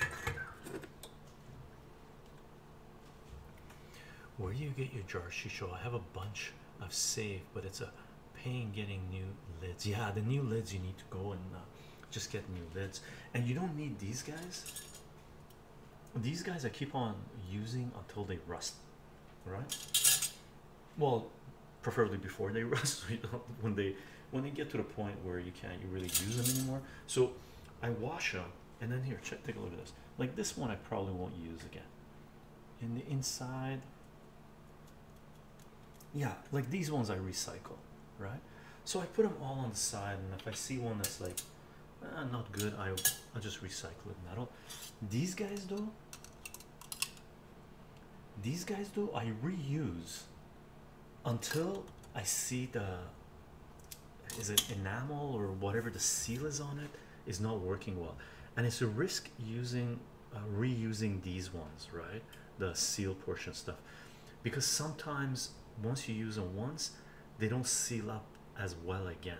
Where do you get your jar shisho? I have a bunch I've saved, but it's a pain getting new lids. Yeah, the new lids you need to go and uh, just get new lids, and you don't need these guys these guys I keep on using until they rust, right? Well, preferably before they rust, when they when they get to the point where you can't you really use them anymore. So I wash them, and then here, check, take a look at this. Like this one, I probably won't use again. In the inside, yeah, like these ones I recycle, right? So I put them all on the side, and if I see one that's like Ah, not good I, I'll just recycle it metal these guys though these guys though I reuse until I see the is it enamel or whatever the seal is on it is not working well and it's a risk using uh, reusing these ones right the seal portion stuff because sometimes once you use them once they don't seal up as well again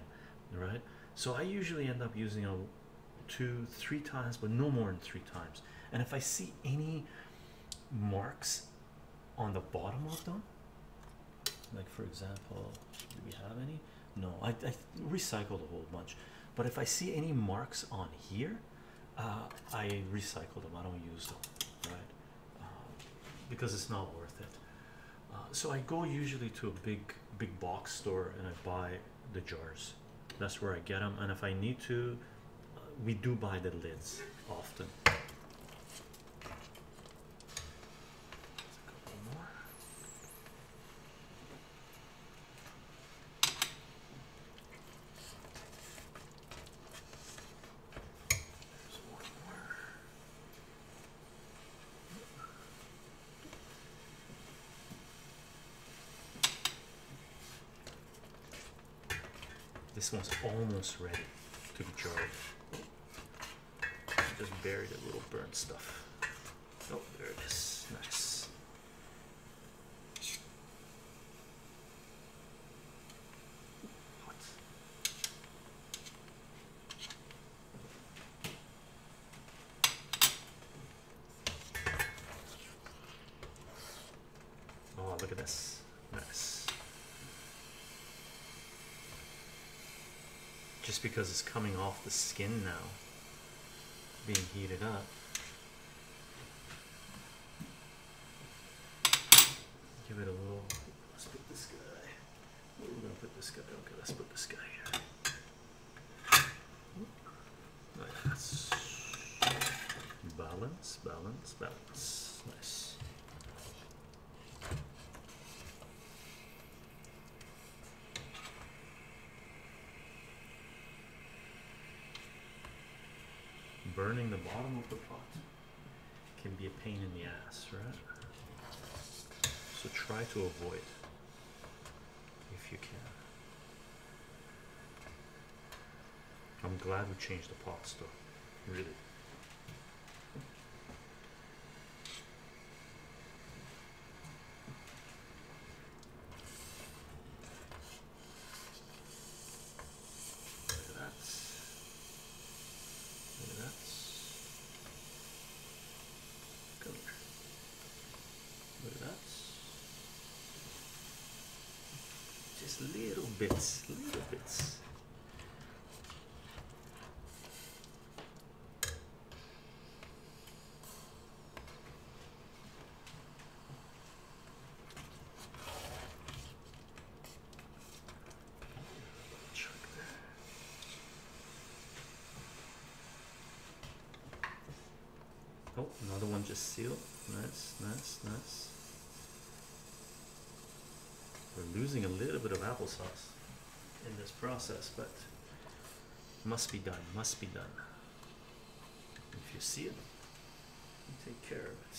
right so i usually end up using a two three times but no more than three times and if i see any marks on the bottom of them like for example do we have any no i, I recycled a whole bunch but if i see any marks on here uh, i recycle them i don't use them right um, because it's not worth it. Uh, so I go usually to a big, big box store and I buy the jars. That's where I get them. And if I need to, uh, we do buy the lids often. This one's almost ready to be jarred. Just buried a little burnt stuff. Oh, there it is. Nice. What? Oh, look at this. Nice. Just because it's coming off the skin now, being heated up. Give it a little. Let's put this guy. We're gonna put this guy. Okay, let's put this guy here. Balance, balance, balance. Nice. Burning the bottom of the pot can be a pain in the ass, right? So try to avoid if you can. I'm glad we changed the pot, though, really. That's and that's color. Look at that. Just little bits, little bits. Oh, another one just sealed. Nice, nice, nice. We're losing a little bit of applesauce in this process, but must be done, must be done. If you see it, take care of it.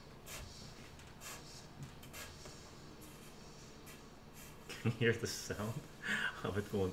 Can you hear the sound of it going?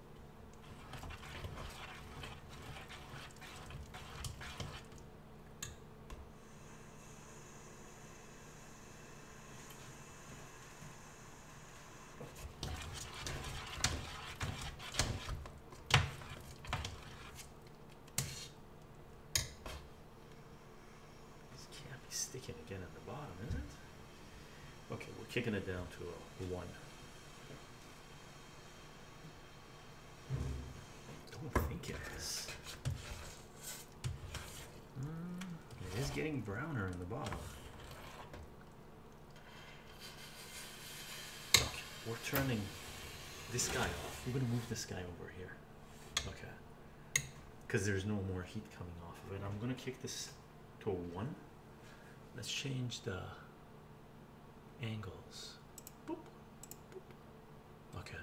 This can't be sticking again at the bottom, is it? Okay, we're kicking it down to a one. Don't think it is. Mm, it is getting browner in the bottom. we're turning this guy off. We're gonna move this guy over here. Okay. Because there's no more heat coming off of it. I'm gonna kick this to a 1. Let's change the angles. Okay.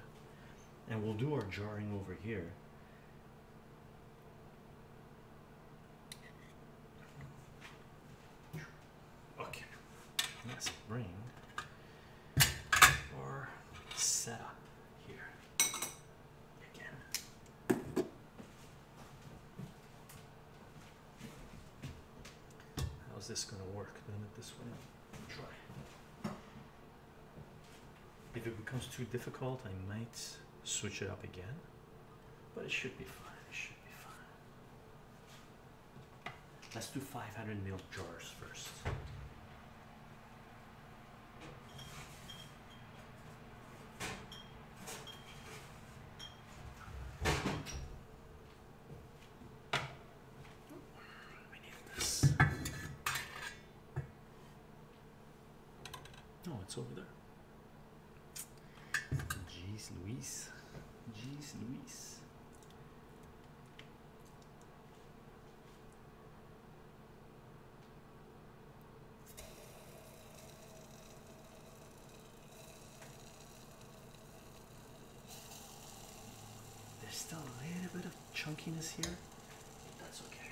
And we'll do our jarring over here. Okay. Let's bring our setup here again. How's this going to work? Doing it this way? Try. If it becomes too difficult, I might switch it up again, but it should be fine. It should be fine. Let's do 500 ml jars first. We Oh, it's over there. Jeez Louise. Jeez Louise. There's still a little bit of chunkiness here. That's okay.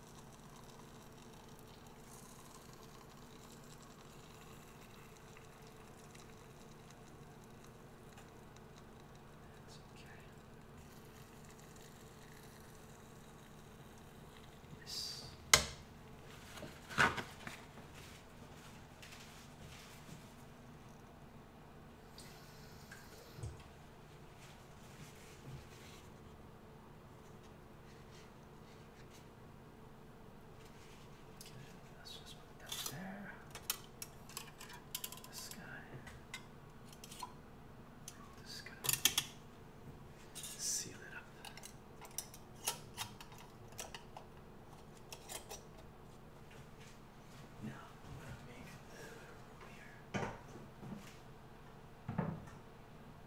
That's okay. Yes. Okay, let's just put that there. This guy. This guy. Seal it up. Now I'm gonna make a little bit of room here.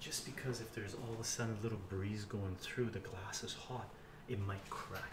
Just because if there's all of a sudden a little breeze going through, the glass is hot, it might crack.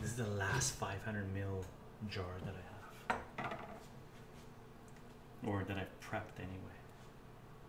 This is the last 500 mil jar that I have, or that I've prepped anyway.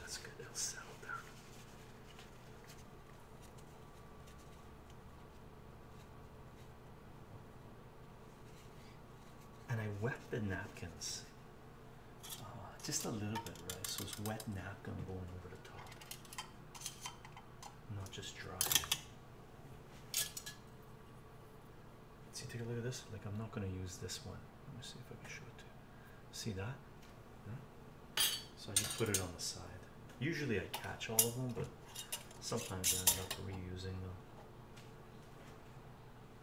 that's good. It'll settle down. And I wet the napkins Ah, just a little bit, right? So it's wet napkin going over the top, not just dry. See, take a look at this. Like, I'm not going to use this one. Let me see if I can show it to you. See that? So I just put it on the side. Usually I catch all of them, but sometimes I end up reusing them.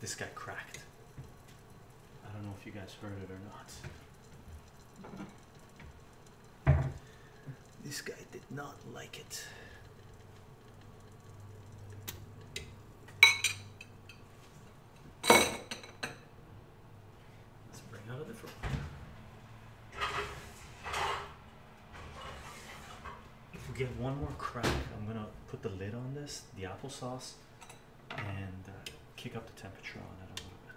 this guy cracked. I don't know if you guys heard it or not. This guy did not like it. Let's bring out a different one. If we get one more crack, I'm gonna put the lid on this, the applesauce, and uh, kick up the temperature on it a little bit.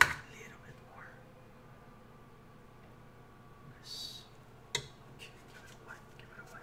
A little bit more. Nice. Okay, give it away, give it away.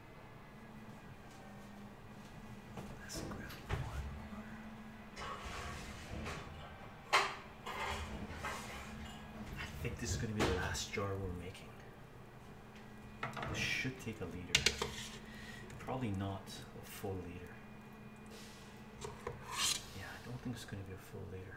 Let's grab one more. I think this is going to be the last jar we're making. This should take a liter. Probably not a full liter. Yeah, I don't think it's going to be a full liter.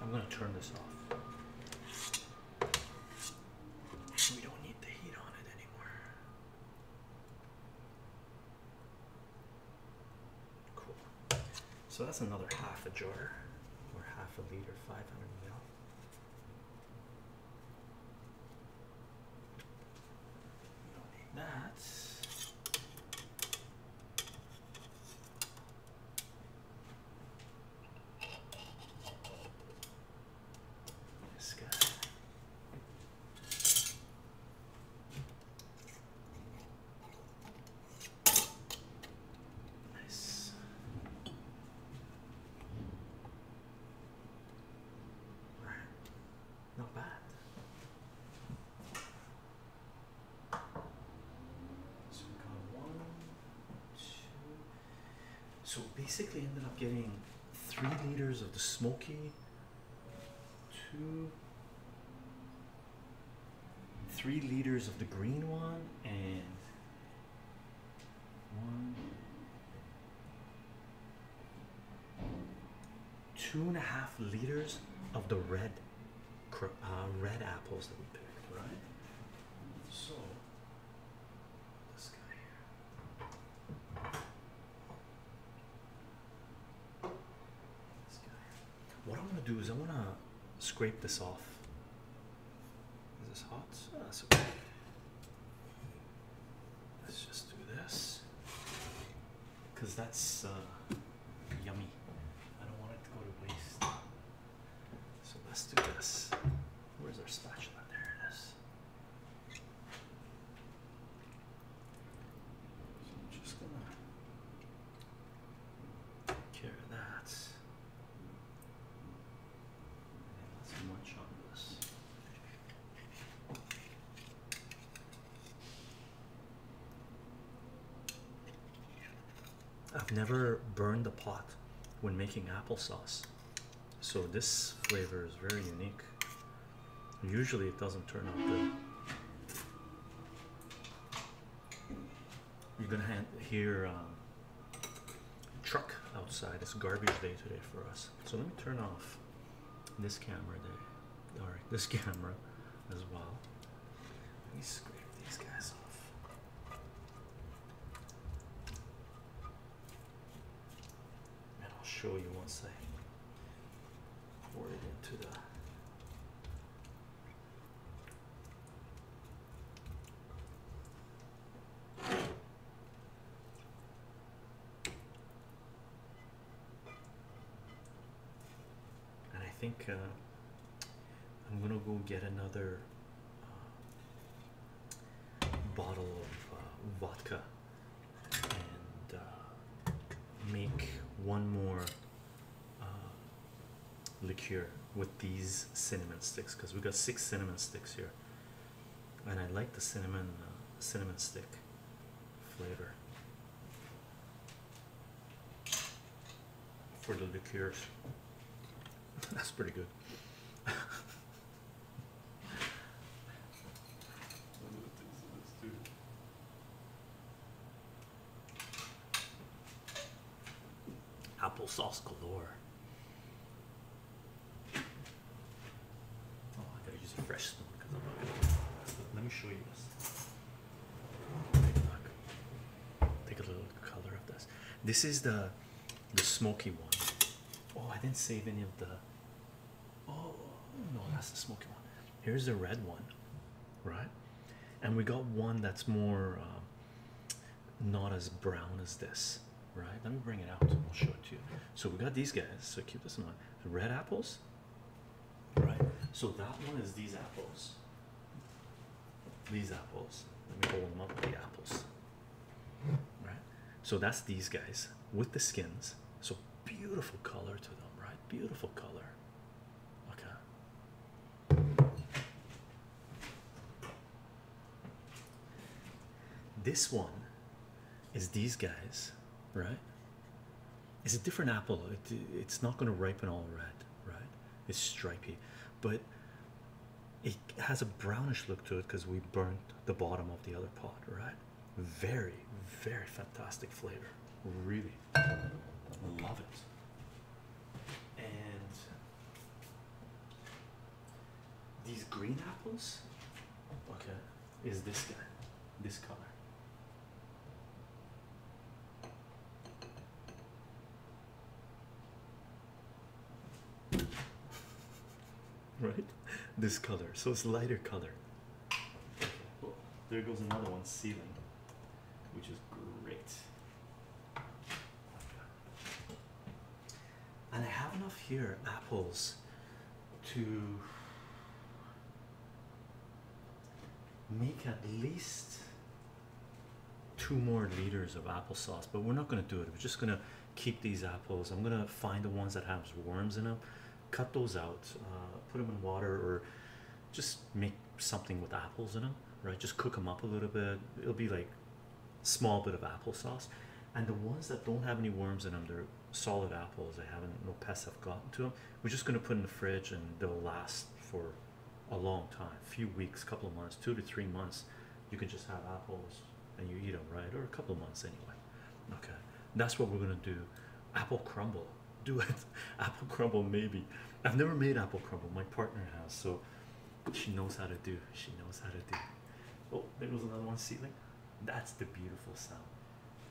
I'm going to turn this off. We don't need the heat on it anymore. Cool. So that's another half a jar or half a liter, 500 ml. We don't need that. This guy. Nice. Right. Not bad. So we got one, two. So basically, ended up getting three liters of the smoky, two, three liters of the green one, and one, two and a half liters of the red uh, red apples that we picked, right? So this guy here. This guy What I am going to do is I am going to scrape this off. Is this hot? Ah, Let's just do this because that's uh, yummy. I don't want it to go to waste. So let's do this. Where's our spatula? There it is. So I'm just gonna take care of that. And let on this. I've never burned the pot when making applesauce, so this flavor is very unique. Usually, it doesn't turn out good. You're gonna hear um, truck outside. It's garbage day today for us, so let me turn off this camera there, or this camera as well. Let me scrape these guys off. And I'll show you once I pour it into the and I think uh, I'm gonna go get another uh, bottle of uh, vodka and make one more liqueur with these cinnamon sticks because we have got six cinnamon sticks here, and I like the cinnamon cinnamon stick flavor for the liqueurs. That's pretty good. Applesauce galore. Oh, I gotta use a fresh spoon because I'm not gonna Let me show you this. Take a little color of this. This is the the smoky one. Oh, I didn't save any of the. Oh no, that's the smoky one. Here's the red one, right? And we got one that's more um, not as brown as this, right? Let me bring it out. I'll show it to you. So we got these guys. So keep this in mind. The red apples. Right. So that one is these apples. These apples. Let me hold them up the apples. Right. So that's these guys with the skins. So beautiful color to them, right? Beautiful color. Okay. This one is these guys, right? It's a different apple. It, it's not going to ripen all red, right? It's stripy, but it has a brownish look to it because we burnt the bottom of the other pot, right? Very, very fantastic flavor. Really love it. And these green apples, okay is this guy, this color. Right, this color, so it's lighter color. there goes another one, ceiling, which is great. And I have enough here apples to make at least two more liters of applesauce, but we're not going to do it. We're just going to keep these apples. I'm going to find the ones that have worms in them, cut those out, uh, put them in water, or just make something with apples in them, right? Just cook them up a little bit. It'll be like small bit of applesauce. And the ones that don't have any worms in them, they're solid apples. I haven't no pests have gotten to them. We're just going to put in the fridge and they'll last for a long time, a few weeks, couple of months, two to three months. You can just have apples and you eat them, right? Or a couple of months anyway. Okay, that's what we're going to do. Apple crumble, do it. apple crumble, maybe. I've never made apple crumble. My partner has, so she knows how to do. She knows how to do. Oh, there was another one ceiling. That's the beautiful sound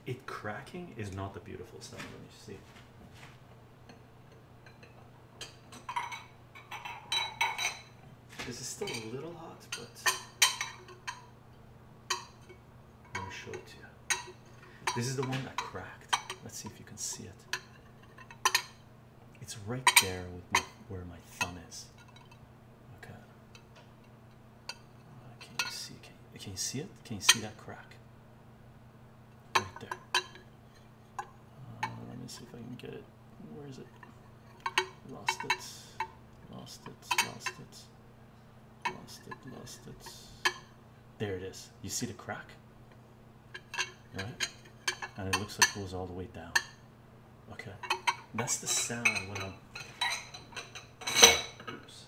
it cracking is not the beautiful sound. Let me see. This is still a little hot, but let me show it to you. This is the one that cracked. Let's see if you can see it. It's right there with where my thumb is. Okay. Uh, can you see? Can can you see it? Can you see that crack? Right there. Uh, let me see if I can get it. Where is it? Lost it. Lost it. Lost it. Lost it. Lost it. There it is. You see the crack? Right? And it looks like it goes all the way down. Okay. That's the sound when I'm oops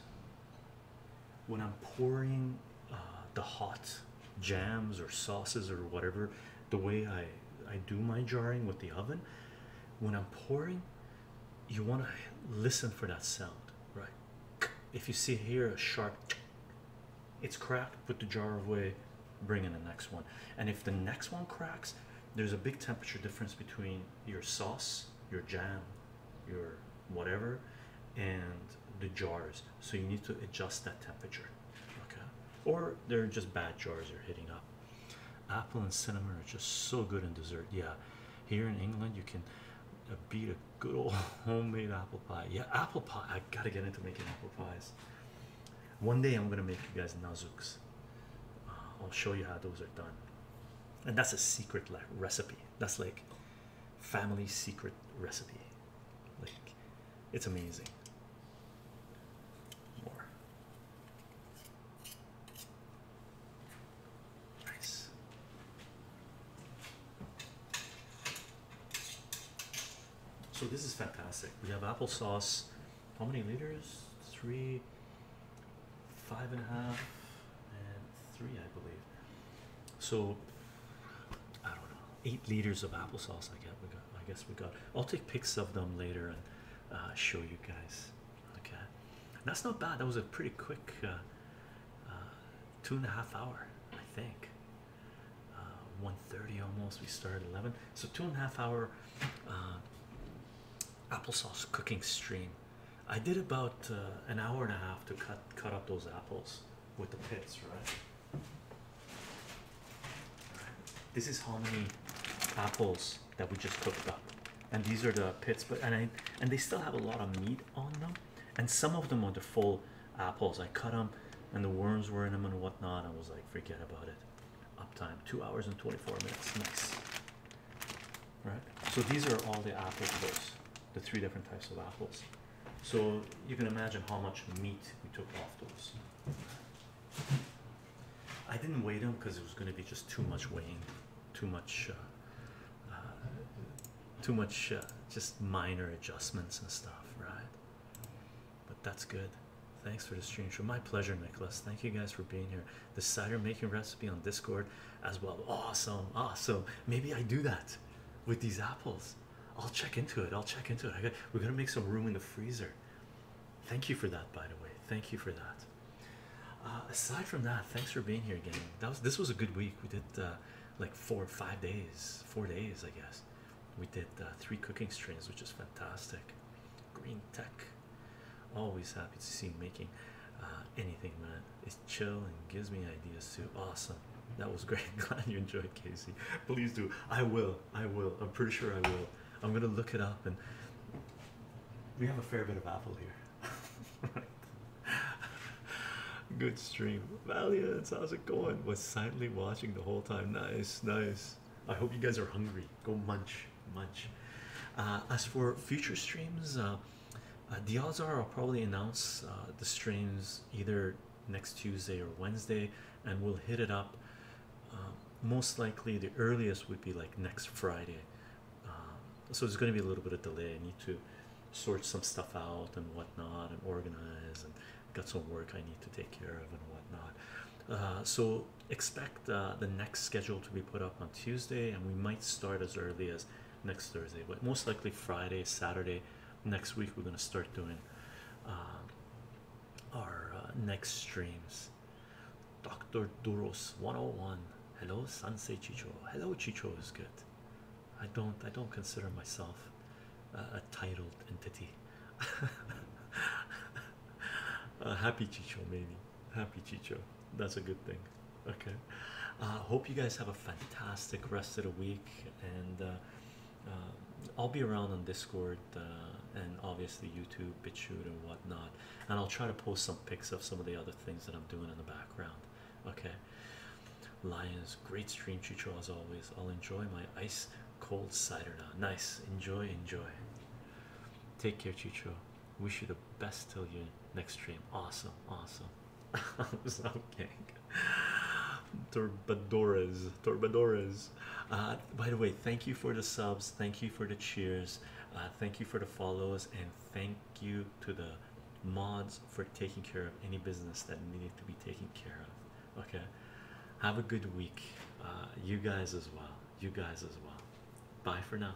when I'm pouring uh, the hot jams or sauces or whatever, the way I I do my jarring with the oven, when I'm pouring, you want to listen for that sound, right? If you see here a sharp, it's cracked. Put the jar away. Bring in the next one, and if the next one cracks, there's a big temperature difference between your sauce your jam, your whatever, and the jars. So you need to adjust that temperature. Okay. Or they're just bad jars you're hitting up. Apple and cinnamon are just so good in dessert. Yeah. Here in England, you can uh, beat a good old homemade apple pie. Yeah, apple pie. I gotta get into making apple pies. One day I'm gonna make you guys nazuks. Uh, I'll show you how those are done. And that's a secret recipe. That's like family secret recipe. Like, it's amazing. More. Nice. So this is fantastic. We have applesauce. How many liters? Three, five three, I believe. So I don't know, eight liters of applesauce. I guess we got. I guess we got. I'll take pics of them later and uh, show you guys. Okay, that's not bad. That was a pretty quick uh, uh, two and a half hour, I think. Uh, 1.30 almost. We started 11, so two and a half hour applesauce cooking stream I did about uh, an hour and a half to cut cut up those apples with the pits, right? This is how many apples that we just cooked up, and these are the pits. But and and they still have a lot of meat on them, and some of them are the full apples. I cut them, and the worms were in them and whatnot. I was like, forget about it. Up time two hours and twenty four minutes. Nice, right? So these are all the apple cores the three different types of apples. So you can imagine how much meat we took off those. I didn't weigh them because it was going to be just too much weighing, too much, uh, uh, too much, uh, just minor adjustments and stuff, right? But that's good. Thanks for the stream show. My pleasure, Nicholas. Thank you guys for being here. The cider making recipe on Discord as well. Awesome, awesome. Maybe I do that with these apples. I'll check into it. I'll check into it. I got, we're gonna make some room in the freezer. Thank you for that, by the way. Thank you for that. Uh, aside from that, thanks for being here again. That was this was a good week. We did uh, like four five days, four days, I guess. We did uh, three cooking streams, which is fantastic. Green tech, always happy to see making anything, man. It's chill and gives me ideas too. Awesome. That was great. Glad you enjoyed Casey. Please do. I will. I will. I'm pretty sure I will. I'm gonna look it up and we have a fair bit of apple here. right. Good stream. Valiant, how's it going? Was silently watching the whole time. Nice, nice. I hope you guys are hungry. Go munch, munch. Uh, as for future streams, uh, uh, the odds are I'll probably announce uh, the streams either next Tuesday or Wednesday, and we'll hit it up. Um, most likely, the earliest would be like next Friday. Um, so it's going to be a little bit of delay. I need to sort some stuff out and whatnot, and organize, and got some work I need to take care of and whatnot. Uh, so expect the next schedule to be put up on Tuesday, and we might start as early as next Thursday, but most likely Friday, Saturday next week. We're gonna start doing um, uh, our next streams. Dr. Duros 101. Hello, Sansei Chicho. Hello, Chicho is good. I don't I don't consider myself a titled entity. Uh, happy Chicho, maybe. Happy Chicho. That's a good thing. Okay, I uh, hope you guys have a fantastic rest of the week, and uh, uh, I'll be around on Discord and obviously YouTube, BitChute, and whatnot. And I'll try to post some pics of some of the other things that I'm doing in the background. Okay, Lions, great stream, Chicho, as always. I'll enjoy my ice cold cider now. Nice, enjoy, enjoy. Take care, Chicho. Wish you the best till your next stream. Awesome, awesome. I'm so kidding. by the way, thank you for the subs, thank you for the cheers, uh, thank you for the follows, and thank you to the mods for taking care of any business that needed to be taken care of. Okay, have a good week. Uh, you guys as well. You guys as well. Bye for now.